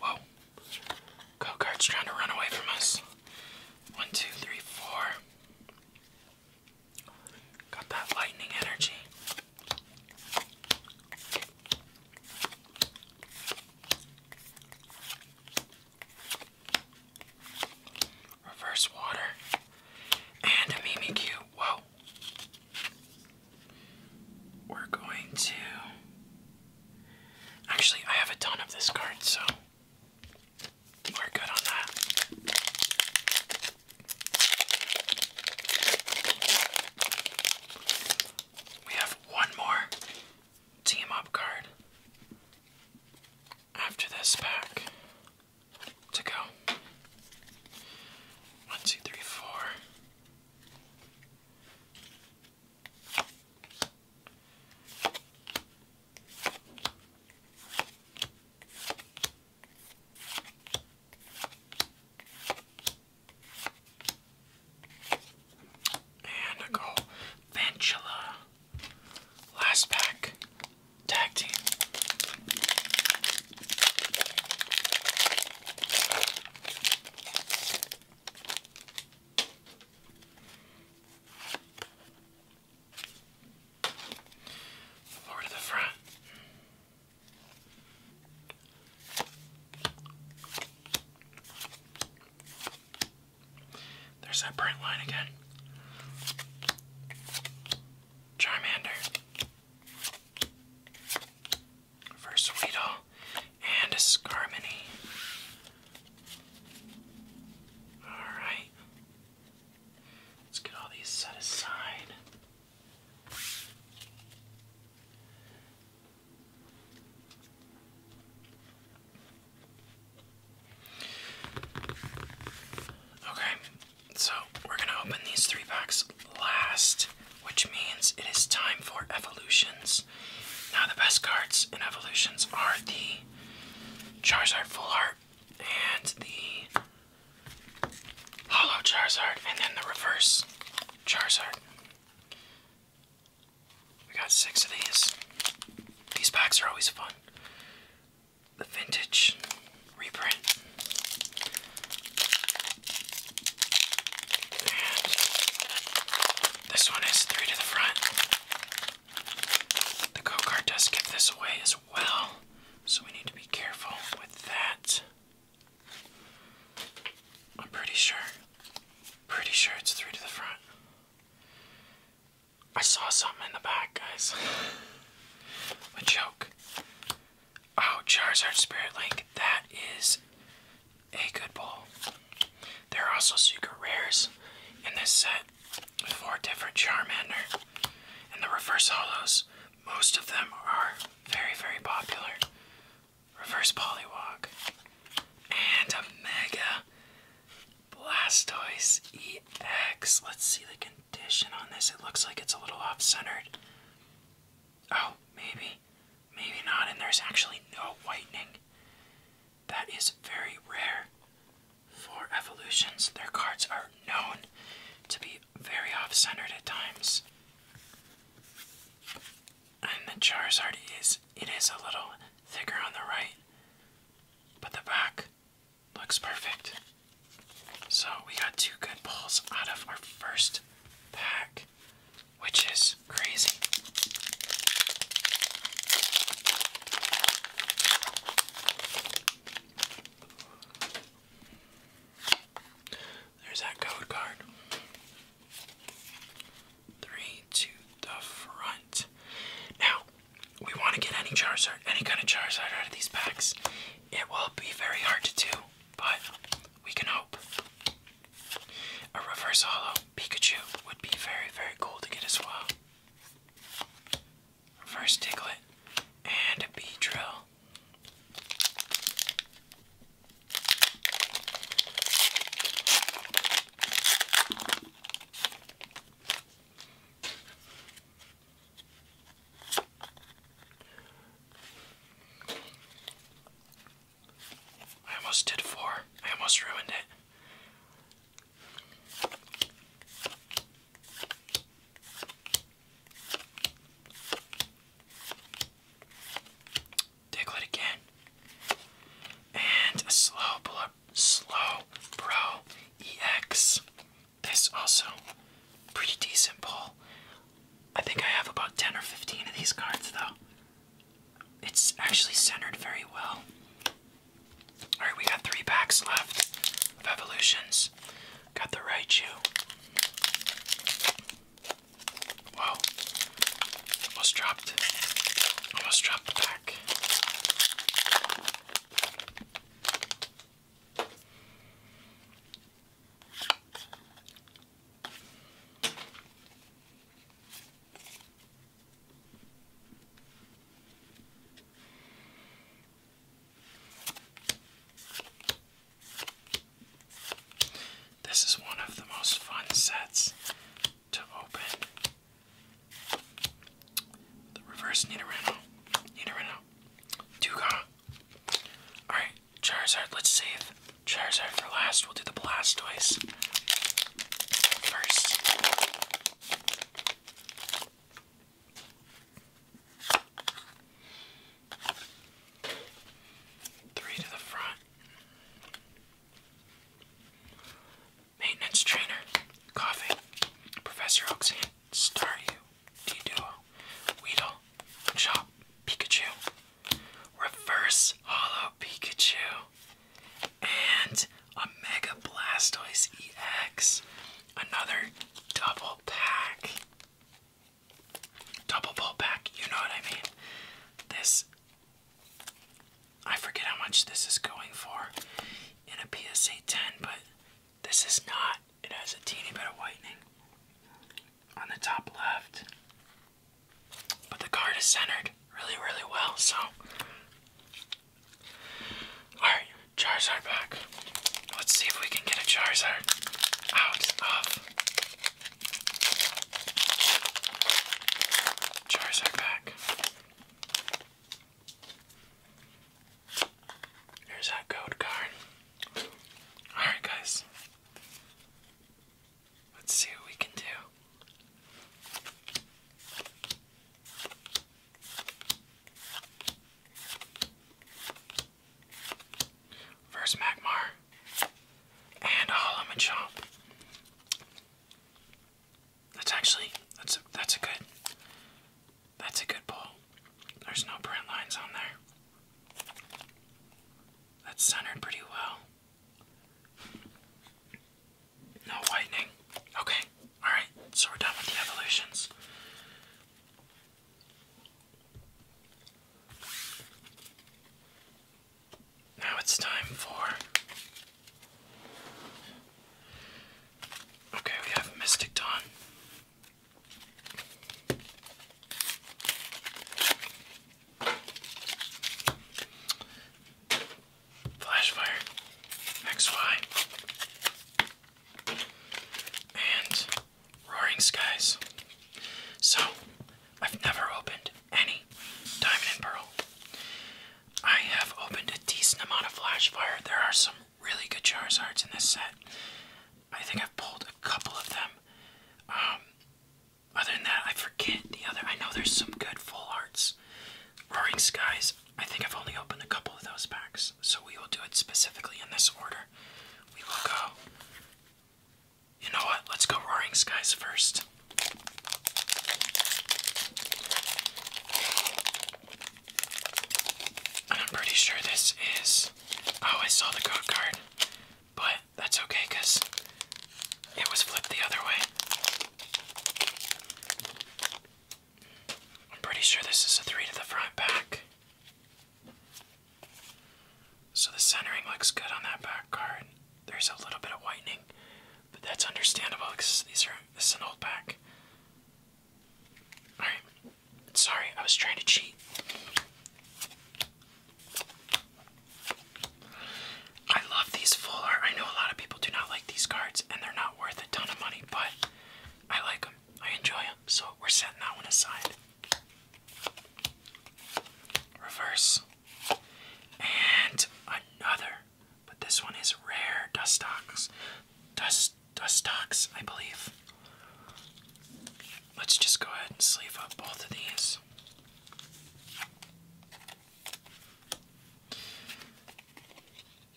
Whoa. Go-kart's trying to run away from us. One, two, three, four. Got that lightning energy. Reverse water. And a Mimikyu. Whoa. We're going to. Actually, I have a ton of this card, so we're good on that. We have one more team up card after this pack to go. One, two, three, four. And I Last pack. Tag team. Lower to the front. There's that bright line again. Charmander. First and a Scarminy. Alright. Let's get all these set aside. Okay, so we're going to open these three packs last, which means it is time for evolutions. Now, the best cards in evolutions are the Charizard Full Art and the Hollow Charizard, and then the reverse Charizard. We got six of these. These packs are always fun. The vintage reprint. this one is three to the front. The go does give this away as well. So we need to be careful with that. I'm pretty sure. Pretty sure it's three to the front. I saw something in the back, guys. a joke. Oh, Charizard Spirit Link. That is a good ball. There are also secret rares in this set. Four different Charmander. And the reverse hollows. Most of them are very, very popular. Reverse Poliwag. And a Mega Blastoise EX. Let's see the condition on this. It looks like it's a little off centered. Oh, maybe. Maybe not. And there's actually no whitening. That is very rare for evolutions. Their cards are known to be very off-centered at times. And the Charizard is it is a little thicker on the right, but the back looks perfect. So we got two good balls out of our first pack, which is crazy. There's that code card. Three to the front. Now, we want to get any Charizard, any kind of Charizard out of these packs. It will be very hard to do, but we can hope. A reverse hollow Pikachu would be very, very cool to get as well. First Diglett, and a drill. I almost did four. I almost ruined it. Diglett again. And a slow blow, slow pro EX. This also pretty decent pull. I think I have about 10 or 15 of these cards though. It's actually centered very well. Alright, we got three packs left of evolutions. Got the right shoe. Whoa. Almost dropped. Almost dropped back. This is one of the most fun sets to open. The reverse Nidorino. Nidorino. Dugong. Alright, Charizard, let's save Charizard for last. We'll do the Blastoise first. Three to the front. Maintenance trainer, coffee, Professor Oxan, Staryu, D Duo, Weedle, Chop, Pikachu, Reverse Hollow Pikachu, and a Mega Blastoise EX. Another double pack double pull back, you know what I mean? This, I forget how much this is going for in a PSA 10, but this is not. It has a teeny bit of whitening on the top left. But the card is centered really, really well, so. Alright, jars are back. Let's see if we can get a Charizard out of Charizard pack. Here's that code card. Alright, guys. Let's see what we can do. First Magmar. And a That's actually that's a that's a good that's a good pull. There's no print lines on there. That's centered pretty well. No whitening. Okay, alright, so we're done with the evolutions. Now it's time for. Okay, we have Mystic Dawn. Flashfire, XY, and roaring skies. So, I've never opened any Diamond and Pearl. I have opened a decent amount of Flash There are some really good Charizards in this set. I think I've pulled a couple of them. Um, other than that, I forget the other. I know there's some good full arts. Roaring Skies, I think I've only opened a couple of those packs so we will do it specifically in this order. We will go. You know what? Let's go Roaring Skies first. I'm pretty sure this is. Oh, I saw the card. But that's okay it was flipped the other way. I'm pretty sure this is a three to the front back. So the centering looks good on that back card. There's a little bit of whitening, but that's understandable because these are this an old back. All right, sorry, I was trying to cheat. I love these full art. I know a lot of people do not like these cards, and they're not worth a ton of money, but I like them. I enjoy them, so we're setting that one aside. Reverse. And another. But this one is rare Dustox. Dust Dustox, I believe. Let's just go ahead and sleeve up both of these.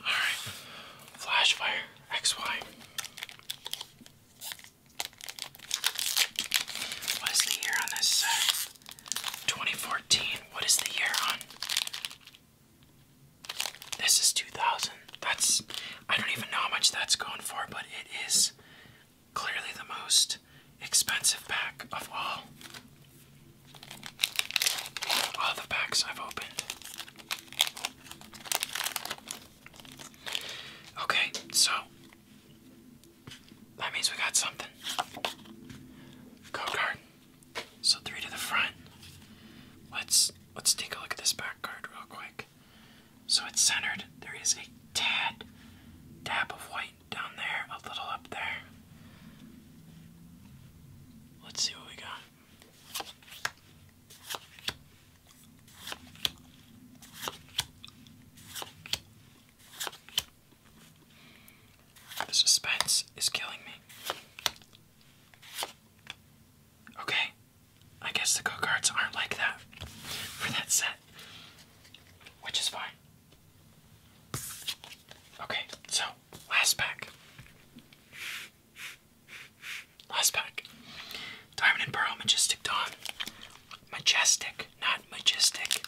Alright, flash XY. What is the year on this set? 2014. What is the year on? This is 2000. That's. I don't even know how much that's going for, but it is clearly the most expensive pack of all. All the packs I've opened. Okay, so that means we got something. Code card. So three to the front. Let's let's take a look at this back card real quick. So it's centered. There is a tad dab of white down there, a little up there. Let's see what we got. The suspense is killing me. Okay, I guess the go-karts aren't like that for that set, which is fine. Okay, so last pack. Last pack. Diamond and Pearl Majestic Dawn. Majestic, not majestic.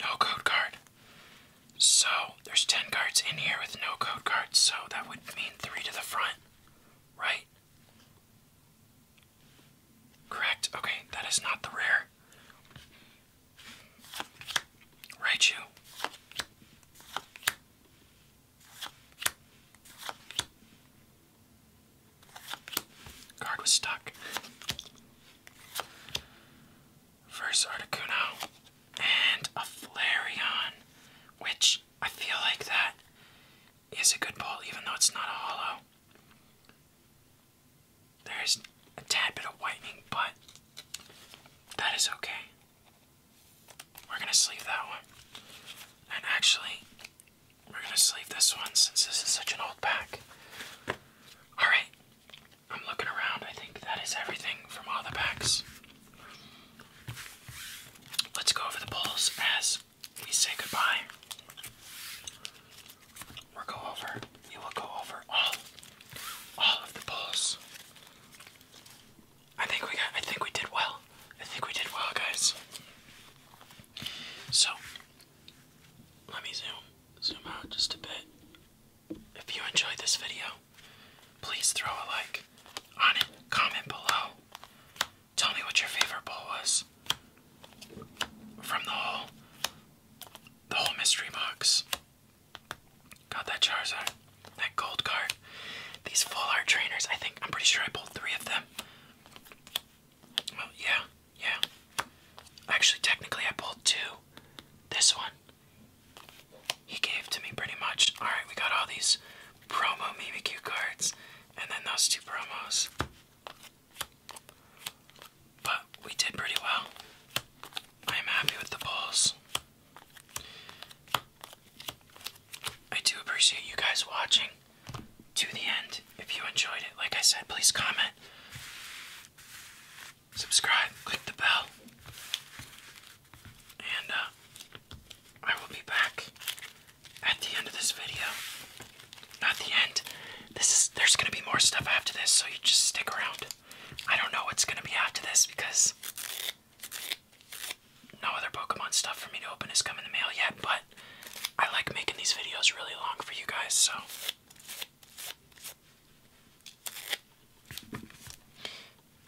No code card. So there's 10 cards in here with no code cards, so that would mean three to the front, right? Correct? Okay, that is not the rare. Right, you. Card was stuck. First Articuno and a Flareon, which I feel like that is a good ball, even though it's not a hollow. There's a tad bit of whitening, but that is okay. We're gonna sleeve that one. And actually, we're gonna sleeve this one since this is such an old pack. Alright, I'm looking around. I think that is everything from all the packs. Let's go over the pulls as we say goodbye. We'll go over. We will go over all, all of the pulls. I think we got. I think we did well. I think we did well, guys. So let me zoom, zoom out just a bit. If you enjoyed this video, please throw a like on it, comment below. Tell me what your favorite bowl was from the whole the whole mystery box. Got that Charizard, that gold card, these full art trainers. I think I'm pretty sure I pulled three of them. Well, yeah, yeah. Actually, technically, I pulled two. This one he gave to me pretty much. Alright, we got all these promo Mimikyu cards and then those two promos. But we did pretty well. I am happy with the pulls. I do appreciate you guys watching to the end. If you enjoyed it, like I said, please comment subscribe, click the bell, and uh, I will be back at the end of this video. Not the end. This is there's gonna be more stuff after this, so you just stick around. I don't know what's gonna be after this because no other Pokemon stuff for me to open has come in the mail yet, but I like making these videos really long for you guys, so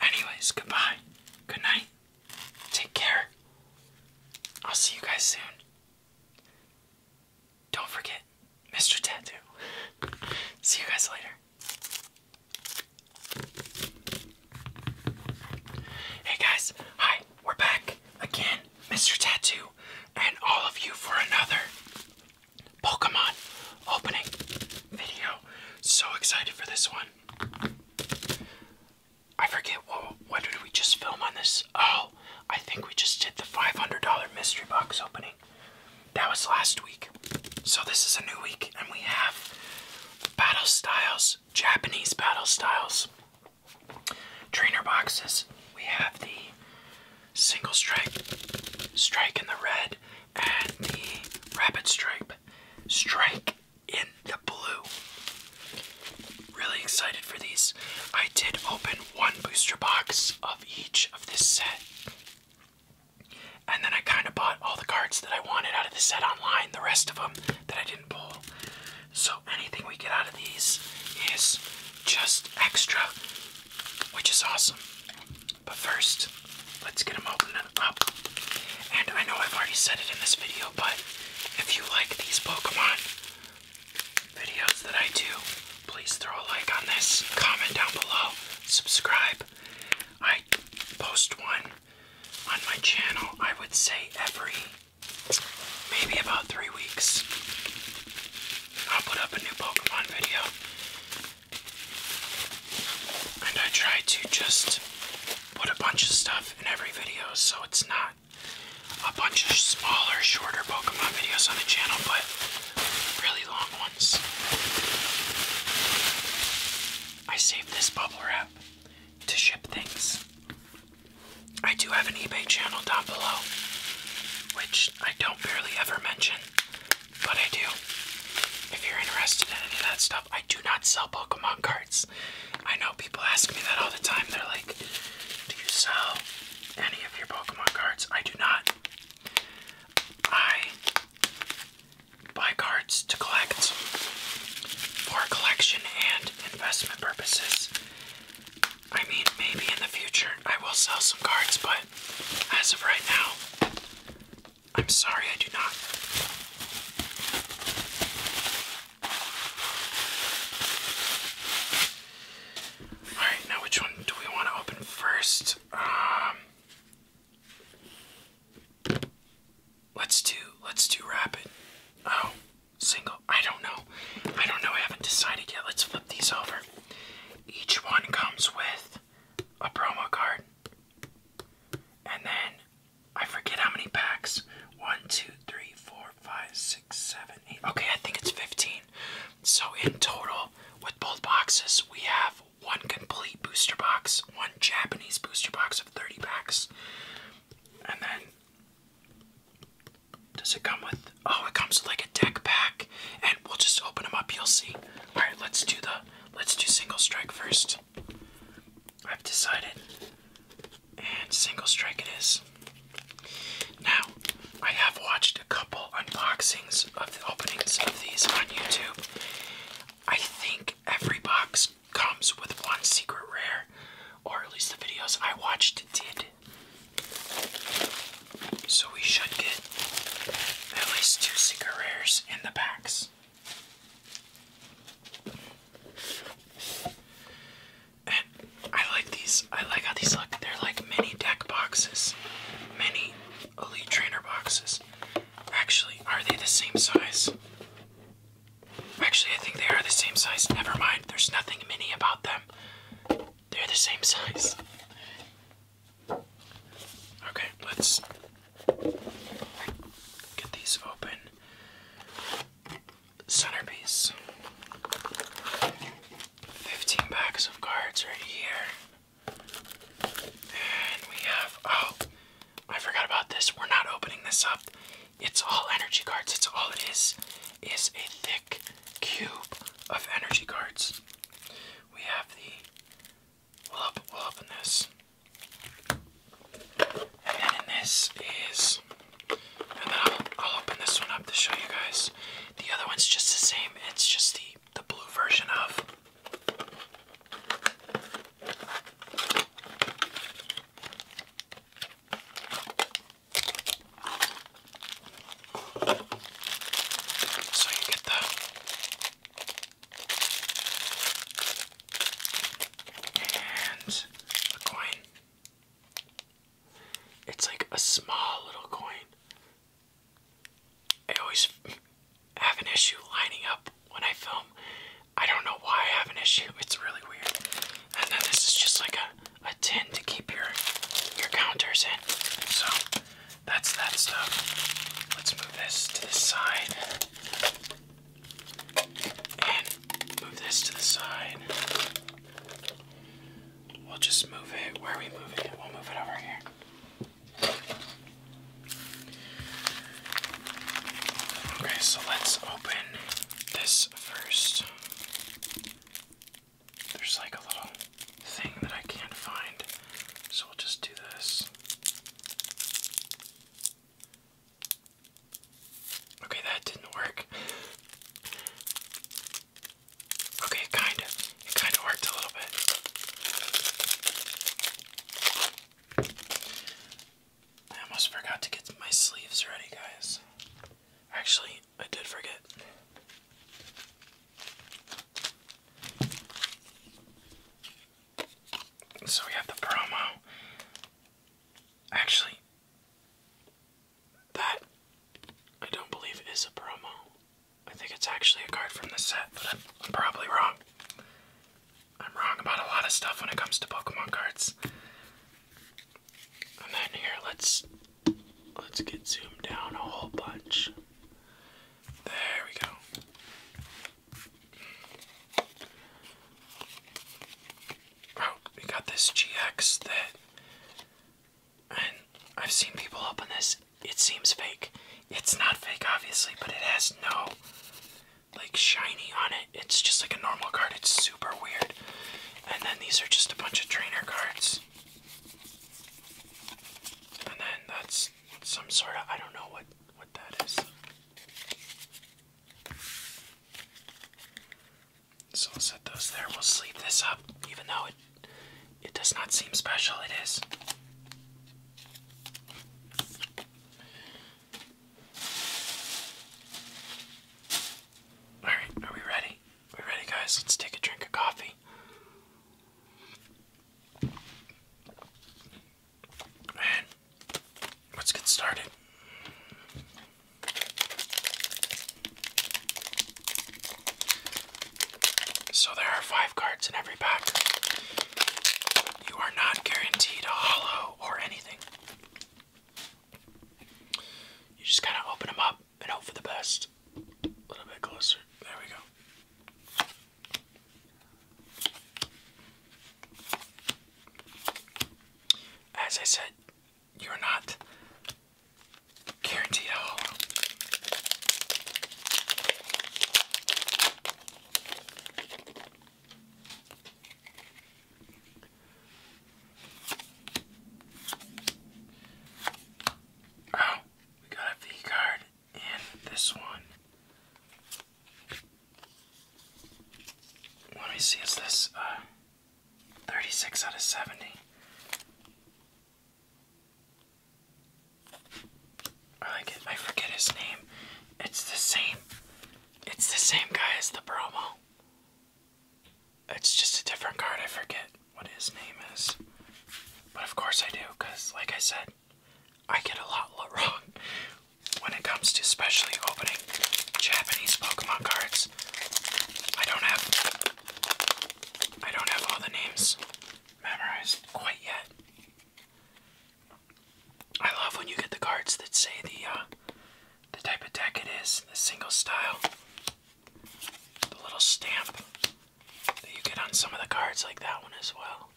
Anyways, goodbye. Good night. Take care. I'll see you guys soon. Don't forget, Mr. Tattoo. see you guys later. Hey guys, hi, we're back again, Mr. Tattoo, and all of you for another Pokemon opening video. So excited for this one. I forget what, what did we just film on this? Oh, I think we just did the $500 mystery box opening. That was last week. So this is a new week and we have battle styles, Japanese battle styles, trainer boxes. We have the single strike, strike in the red, and the rapid stripe, strike in the blue. Really excited for these. I did open one booster box of each of this set. And then I kind of bought all the cards that I wanted out of the set online, the rest of them that I didn't pull. So anything we get out of these is just extra, which is awesome. But first, let's get them opened up. And I know I've already said it in this video, but if you like these Pokemon videos that I do, please throw a like on this, comment down below, subscribe. I post one on my channel, I would say every maybe about three weeks. I'll put up a new Pokemon video. And I try to just put a bunch of stuff in every video so it's not a bunch of smaller, shorter Pokemon videos on the channel, but really long ones. I saved this bubble wrap to ship things. I do have an eBay channel down below, which I don't barely ever mention, but I do. If you're interested in any of that stuff, I do not sell Pokemon cards. I know people ask me that all the time. They're like, do you sell any of your Pokemon cards? I do not. I buy cards to collect for collection and investment purposes. I mean, maybe in the future I will sell some cards, but as of right now, I'm sorry, I do not. Alright, now which one do we want to open first? Um, let's do let's do rapid. Oh, single. I don't know. I don't know. I haven't decided yet. Let's flip these over. Each one comes with a promo card. And then I forget how many packs. One, two, three, four, five, six, seven, eight. Okay, I think it's 15. So in total, with both boxes, we have one complete booster box, one Japanese booster box of 30 packs. And then, does it come with? Oh, it comes with like a deck pack and we'll just open them up. You'll see. All right, let's do the let's do single strike first. I've decided, and single strike it is. Now, I have watched a couple unboxings of the openings of these on YouTube. I think every box comes with one secret rare, or at least the videos I watched did. So we should get at least two secret rares in the packs. And I like these. I like how these look. They're like mini deck boxes, mini elite trainer boxes. Actually, are they the same size? Actually, I think they are the same size. Never mind. There's nothing mini about them. They're the same size. Okay, let's get these open. Centerpiece. 15 packs of cards right here. And we have, oh, I forgot about this. We're not opening this up. It's all energy cards. It's all it is, is a thick cube of energy cards. We have the we love in this. And then in this is, and then will I'll open this one up to show you guys. The other one's just the same. It's just the the blue version of. So you get the and a coin. It's like a small little coin. I always have an issue lining up when I film. I don't know why I have an issue. It's really weird. And then this is just like a, a tin to keep your your counters in. So that's that stuff. Let's move this to the side. And move this to the side. We'll just move it. Where are we moving it? We'll move it over here. Okay, so let's open this first. There's like a little thing that I can't find, so we'll just do this. Okay, that didn't work. Okay, kind of. It kind of worked a little bit. I almost forgot to get my sleeves ready, guys. Actually, I did forget. So we have the promo. Actually, that I don't believe is a promo. I think it's actually a card from the set, but I'm, probably wrong. I'm wrong about a lot of stuff when it comes to Pokemon cards. And then here, let's let's get zoomed down a whole bunch. There we go. Oh, we got this GX that, and I've seen people open this. It seems fake. It's not fake, obviously, but it has no like shiny on it. It's just like a normal card. It's super weird. And then these are just a bunch of trainer cards. And then that's some sort of I don't know what that is. So we will set those there. We'll sleep this up, even though it it does not seem special, it is. Alright, are we ready? we ready guys? Let's take a drink of coffee. And let's get started. So there are five cards in every pack. You are not guaranteed a hollow or anything. You just kind of open them up and hope for the best. A little bit closer. There we go. As I said, you're not guaranteed a hollow. Oh, we got a V card and this one. Let me see, is this uh, 36 out of 70? I forget his name. It's the same. It's the same guy as the promo. It's just a different card. I forget what his name is. But of course I do, because like I said, I get a lot wrong when it comes to especially opening Japanese Pokemon cards. I don't have I don't have all the names memorized quite yet. I love when you get the cards that say the uh, the type of deck it is, the single style, the little stamp that you get on some of the cards like that one as well.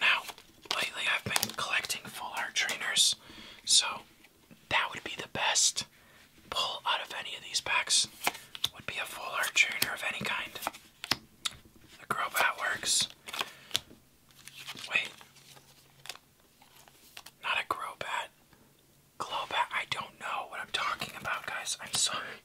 Now, lately I've been collecting full art trainers, so that would be the best pull out of any of these packs would be a full art trainer of any kind. The Growbat works. Wait, not a grow bat. Glow bat. I don't know what I'm talking about, guys. I'm sorry.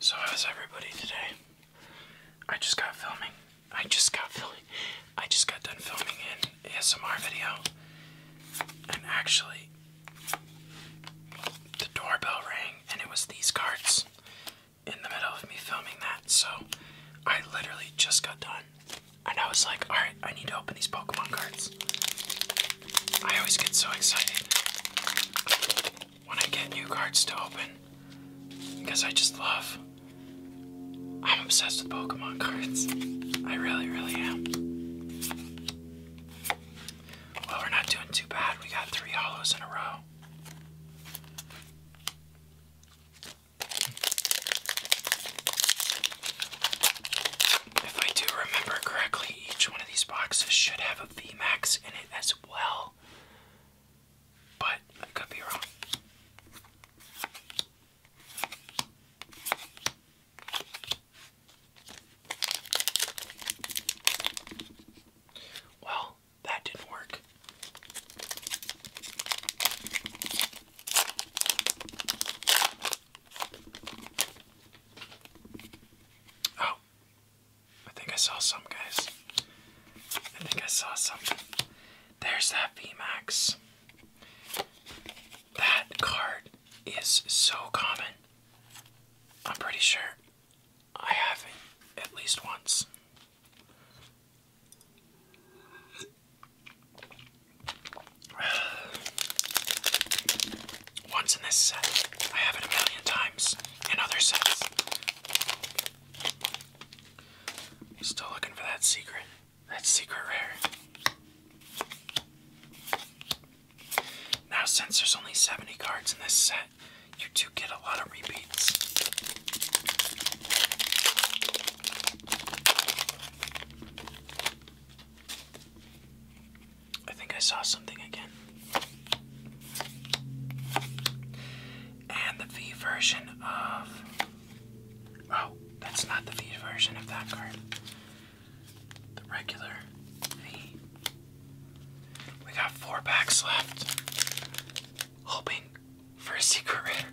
So, how's everybody today? I just got filming. I just got filming. I just got done filming an ASMR video. And actually, the doorbell rang and it was these cards in the middle of me filming that. So, I literally just got done. And I was like, alright, I need to open these Pokemon cards. I always get so excited when I get new cards to open because I just love. I'm obsessed with Pokemon cards. I really, really am. Well, we're not doing too bad. We got three hollows in a row. If I do remember correctly, each one of these boxes should have a VMAX in it as well. But I could be wrong. Well, that didn't work. Oh, I think I saw some, guys. I think I saw something. There's that VMAX. That card is so common. I'm pretty sure I have it at least once. Once in this set, I have it a million times in other sets. Still looking for that secret. That secret rare. Now, since there's only 70 cards in this set, you do get a lot of repeats. I think I saw something again. And the V version of. Oh, that's not the V version of that card. The regular V. We got four packs left. Hoping for a secret rare.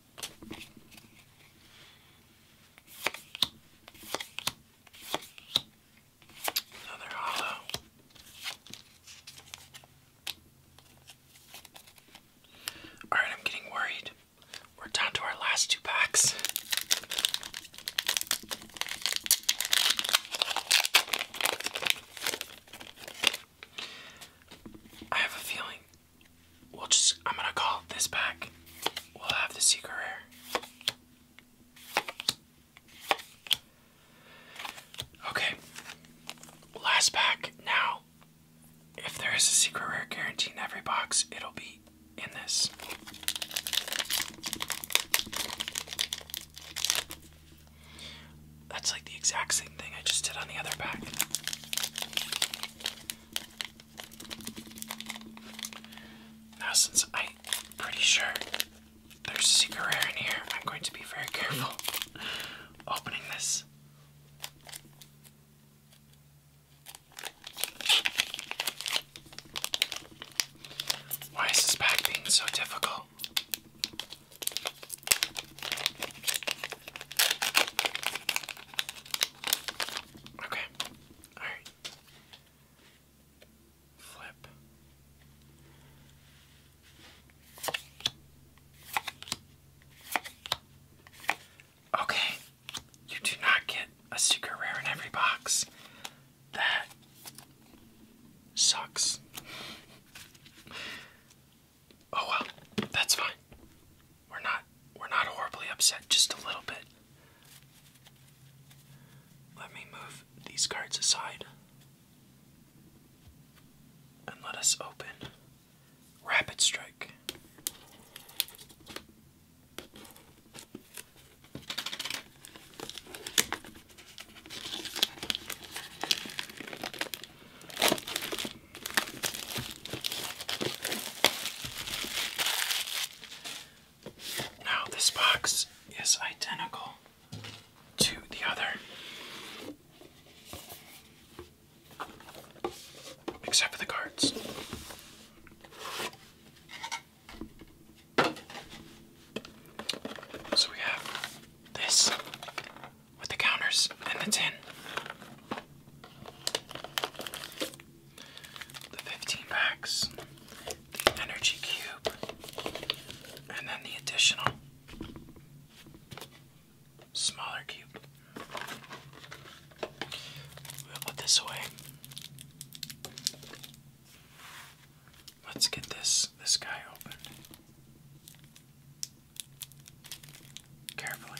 Another hollow. Alright, I'm getting worried. We're down to our last two packs. I have a feeling we'll just, I'm gonna call this back. We'll have the secret rare. Okay, last pack. Now, if there is a secret rare guarantee in every box, it'll be in this. That's like the exact same thing I just did on the other pack. Now, since I'm pretty sure there's secret rare in here, I'm going to be very careful opening this. Why is this pack being so difficult? Okay. Alright. Flip. Okay. You do not get a secret rare in every box. That sucks. Oh well, that's fine. We're not we're not horribly upset, just a little bit. Let me move these cards aside. And let us open Rapid Strike. Now, this box is identical to the other, except for the cards. So we have this with the counters and the tin the 15 packs, the energy cube, and then the additional smaller cube. We'll put this away. Let's get this this guy open. Carefully.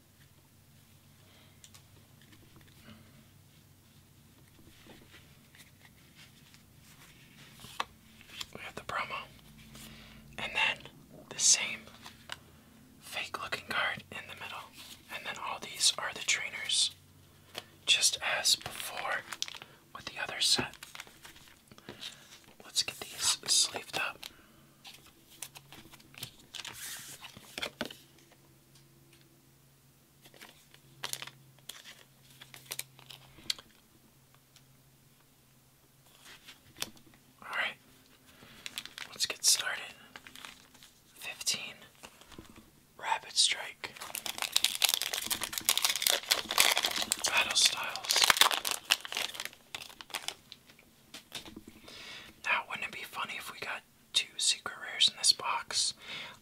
We have the promo. And then the same fake looking card in the middle. And then all these are the trainers. Just as before with the other set. Let's get these sleeved up. All right, let's get started. 15 Rapid Strike Battle Styles. Now, wouldn't it be funny if we got two secret rares in this box.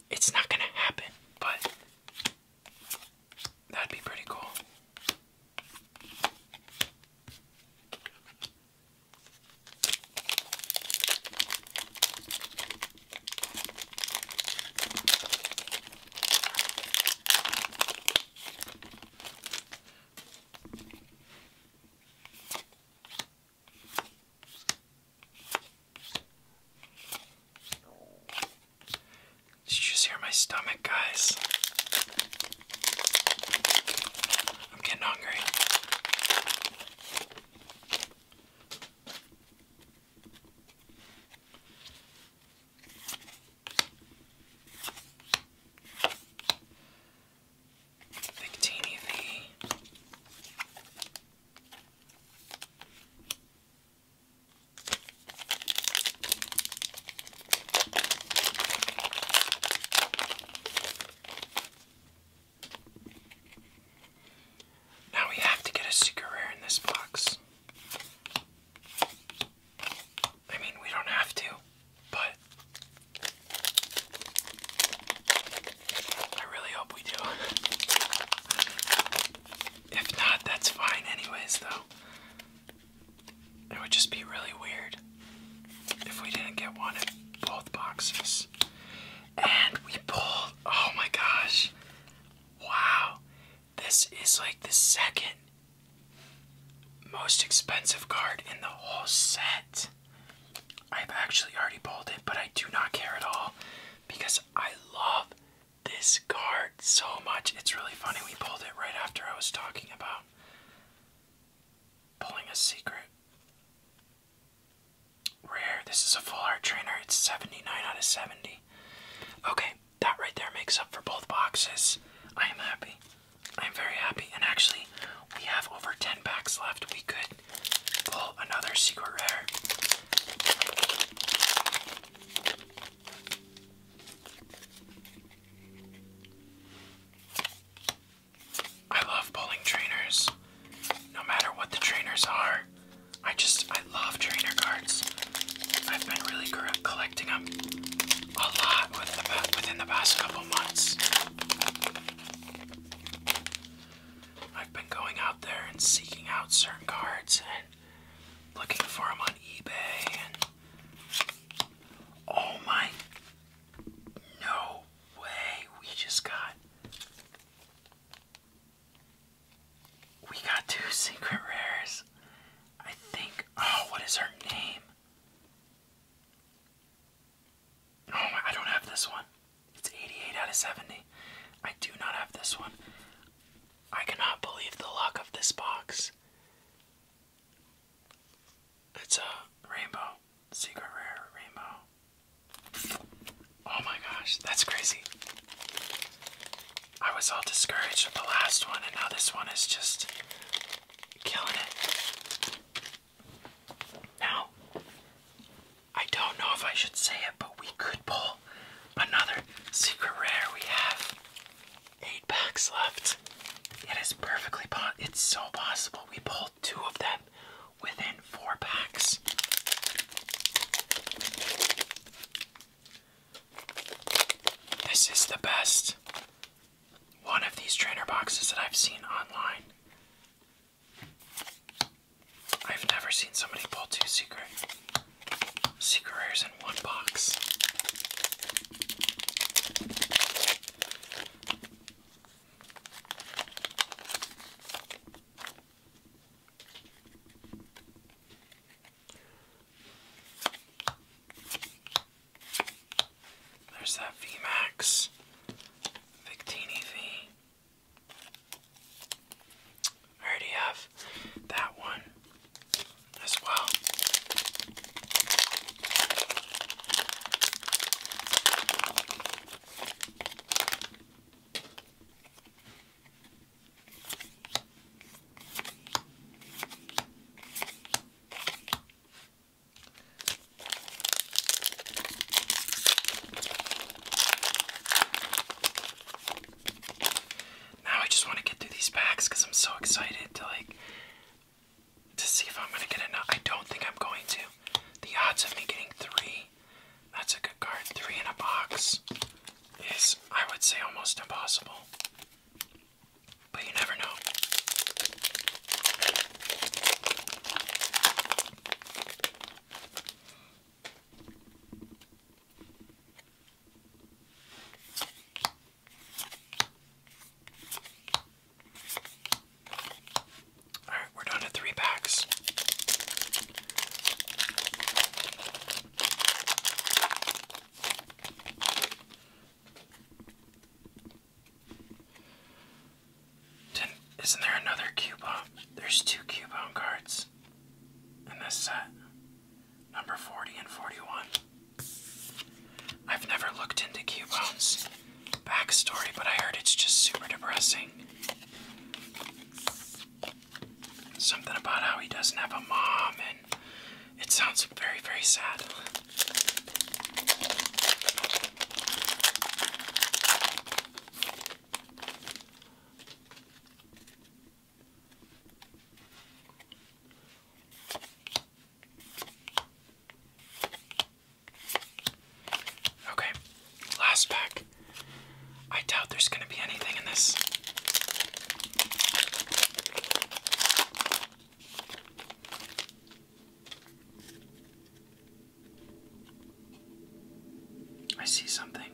It's not gonna happen, but that'd be pretty cool. Did you just hear my stomach, guys? I'm getting hungry. Victini V. Now we have to get a secret rare in this box. I mean, we don't have to, but I really hope we do. if not, that's fine, anyways, though. It would just be really weird if we didn't get one in both boxes. And we pulled. Oh my gosh. Wow. This is like the second most expensive card in the whole set. I've actually already pulled it, but I do not care at all because I love this card so much. It's really funny. We pulled it right after I was talking about pulling a secret. Rare. This is a full art trainer. It's 79 out of 70. Okay, that right there makes up for both boxes. I am happy. I'm very happy. And actually, we have over 10 packs left. We could Pull another secret rare. I love pulling trainers. No matter what the trainers are, I just, I love trainer cards. I've been really collecting them a lot within the past couple months. I've been going out there and seeking out certain cards and looking for them on eBay oh my no way we just got we got two secret rares. I think oh what is her name? Oh my, I don't have this one. It's 88 out of 70. I do not have this one. I cannot believe the luck of this box. It's a rainbow, secret rare rainbow. Oh my gosh, that's crazy. I was all discouraged with the last one, and now this one is just killing it. Now, I don't know if I should say it, but we could pull another secret rare. We have eight packs left. It is perfectly possible. It's so possible. We pulled two of them within four packs. This is the best one of these trainer boxes that I've seen online. I've never seen somebody pull two secret secret rares in one box. There's that VMAX Victini V. I already have that one as well. Now I just want to get through these packs because I'm so excited to like to see if I'm gonna get enough. I don't think I'm going to. The odds of me getting three, that's a good card, three in a box, is I would say almost impossible. But you never know. All right, we're down to three packs isn't there another coupon? There's two coupon cards in this set. Number 40 and 41. I've never looked into coupons' backstory, but I heard it's just super depressing. Something about how he doesn't have a mom, and it sounds very, very sad. Okay, last pack. I doubt there's going to be anything in this. I see something.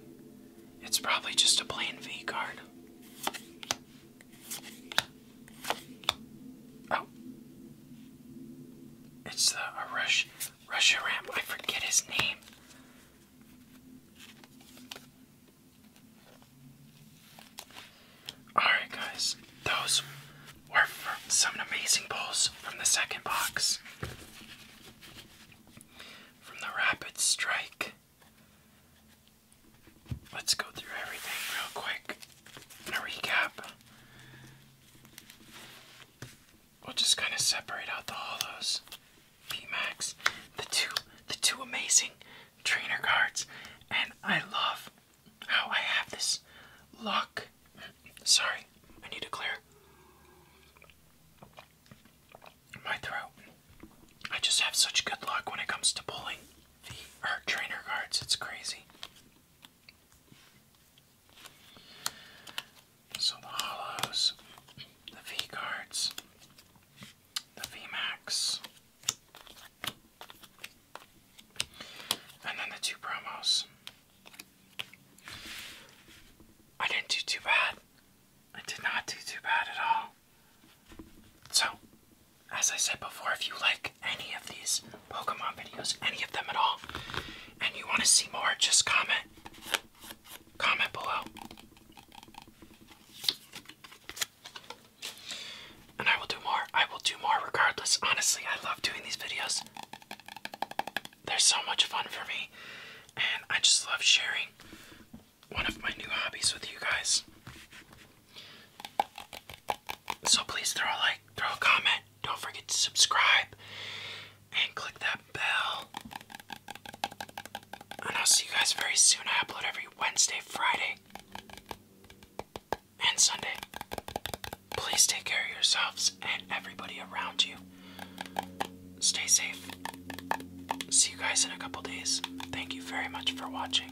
It's probably just a plain V card. Oh. It's a Rush Russia ramp. I forget his name. Alright guys, those were some amazing pulls from the second box. From the rapid strike. Let's go through everything real quick in recap. We'll just kind of separate out the hollows. VMAX, the two the two amazing trainer cards, and I love how I have this luck Sorry, I need to clear my throat. I just have such good luck when it comes to pulling the art trainer cards, it's crazy. So the the V cards, the V Max, and then the two promos. I didn't do too bad. I did not do too bad at all. So, as I said before, if you like any of these Pokemon videos, any of them at all, and you want to see more, just comment. Comment below. And I will do more. I will do more regardless. Honestly, I love doing these videos they're so much fun for me, and I just love sharing one of my new hobbies with you guys. So please throw a like, throw a comment, don't forget to subscribe, and click that bell. And I'll see you guys very soon. I upload every Wednesday, Friday, and Sunday. Please take care of yourselves and everybody around you. Stay safe. See you guys in a couple days. Thank you very much for watching.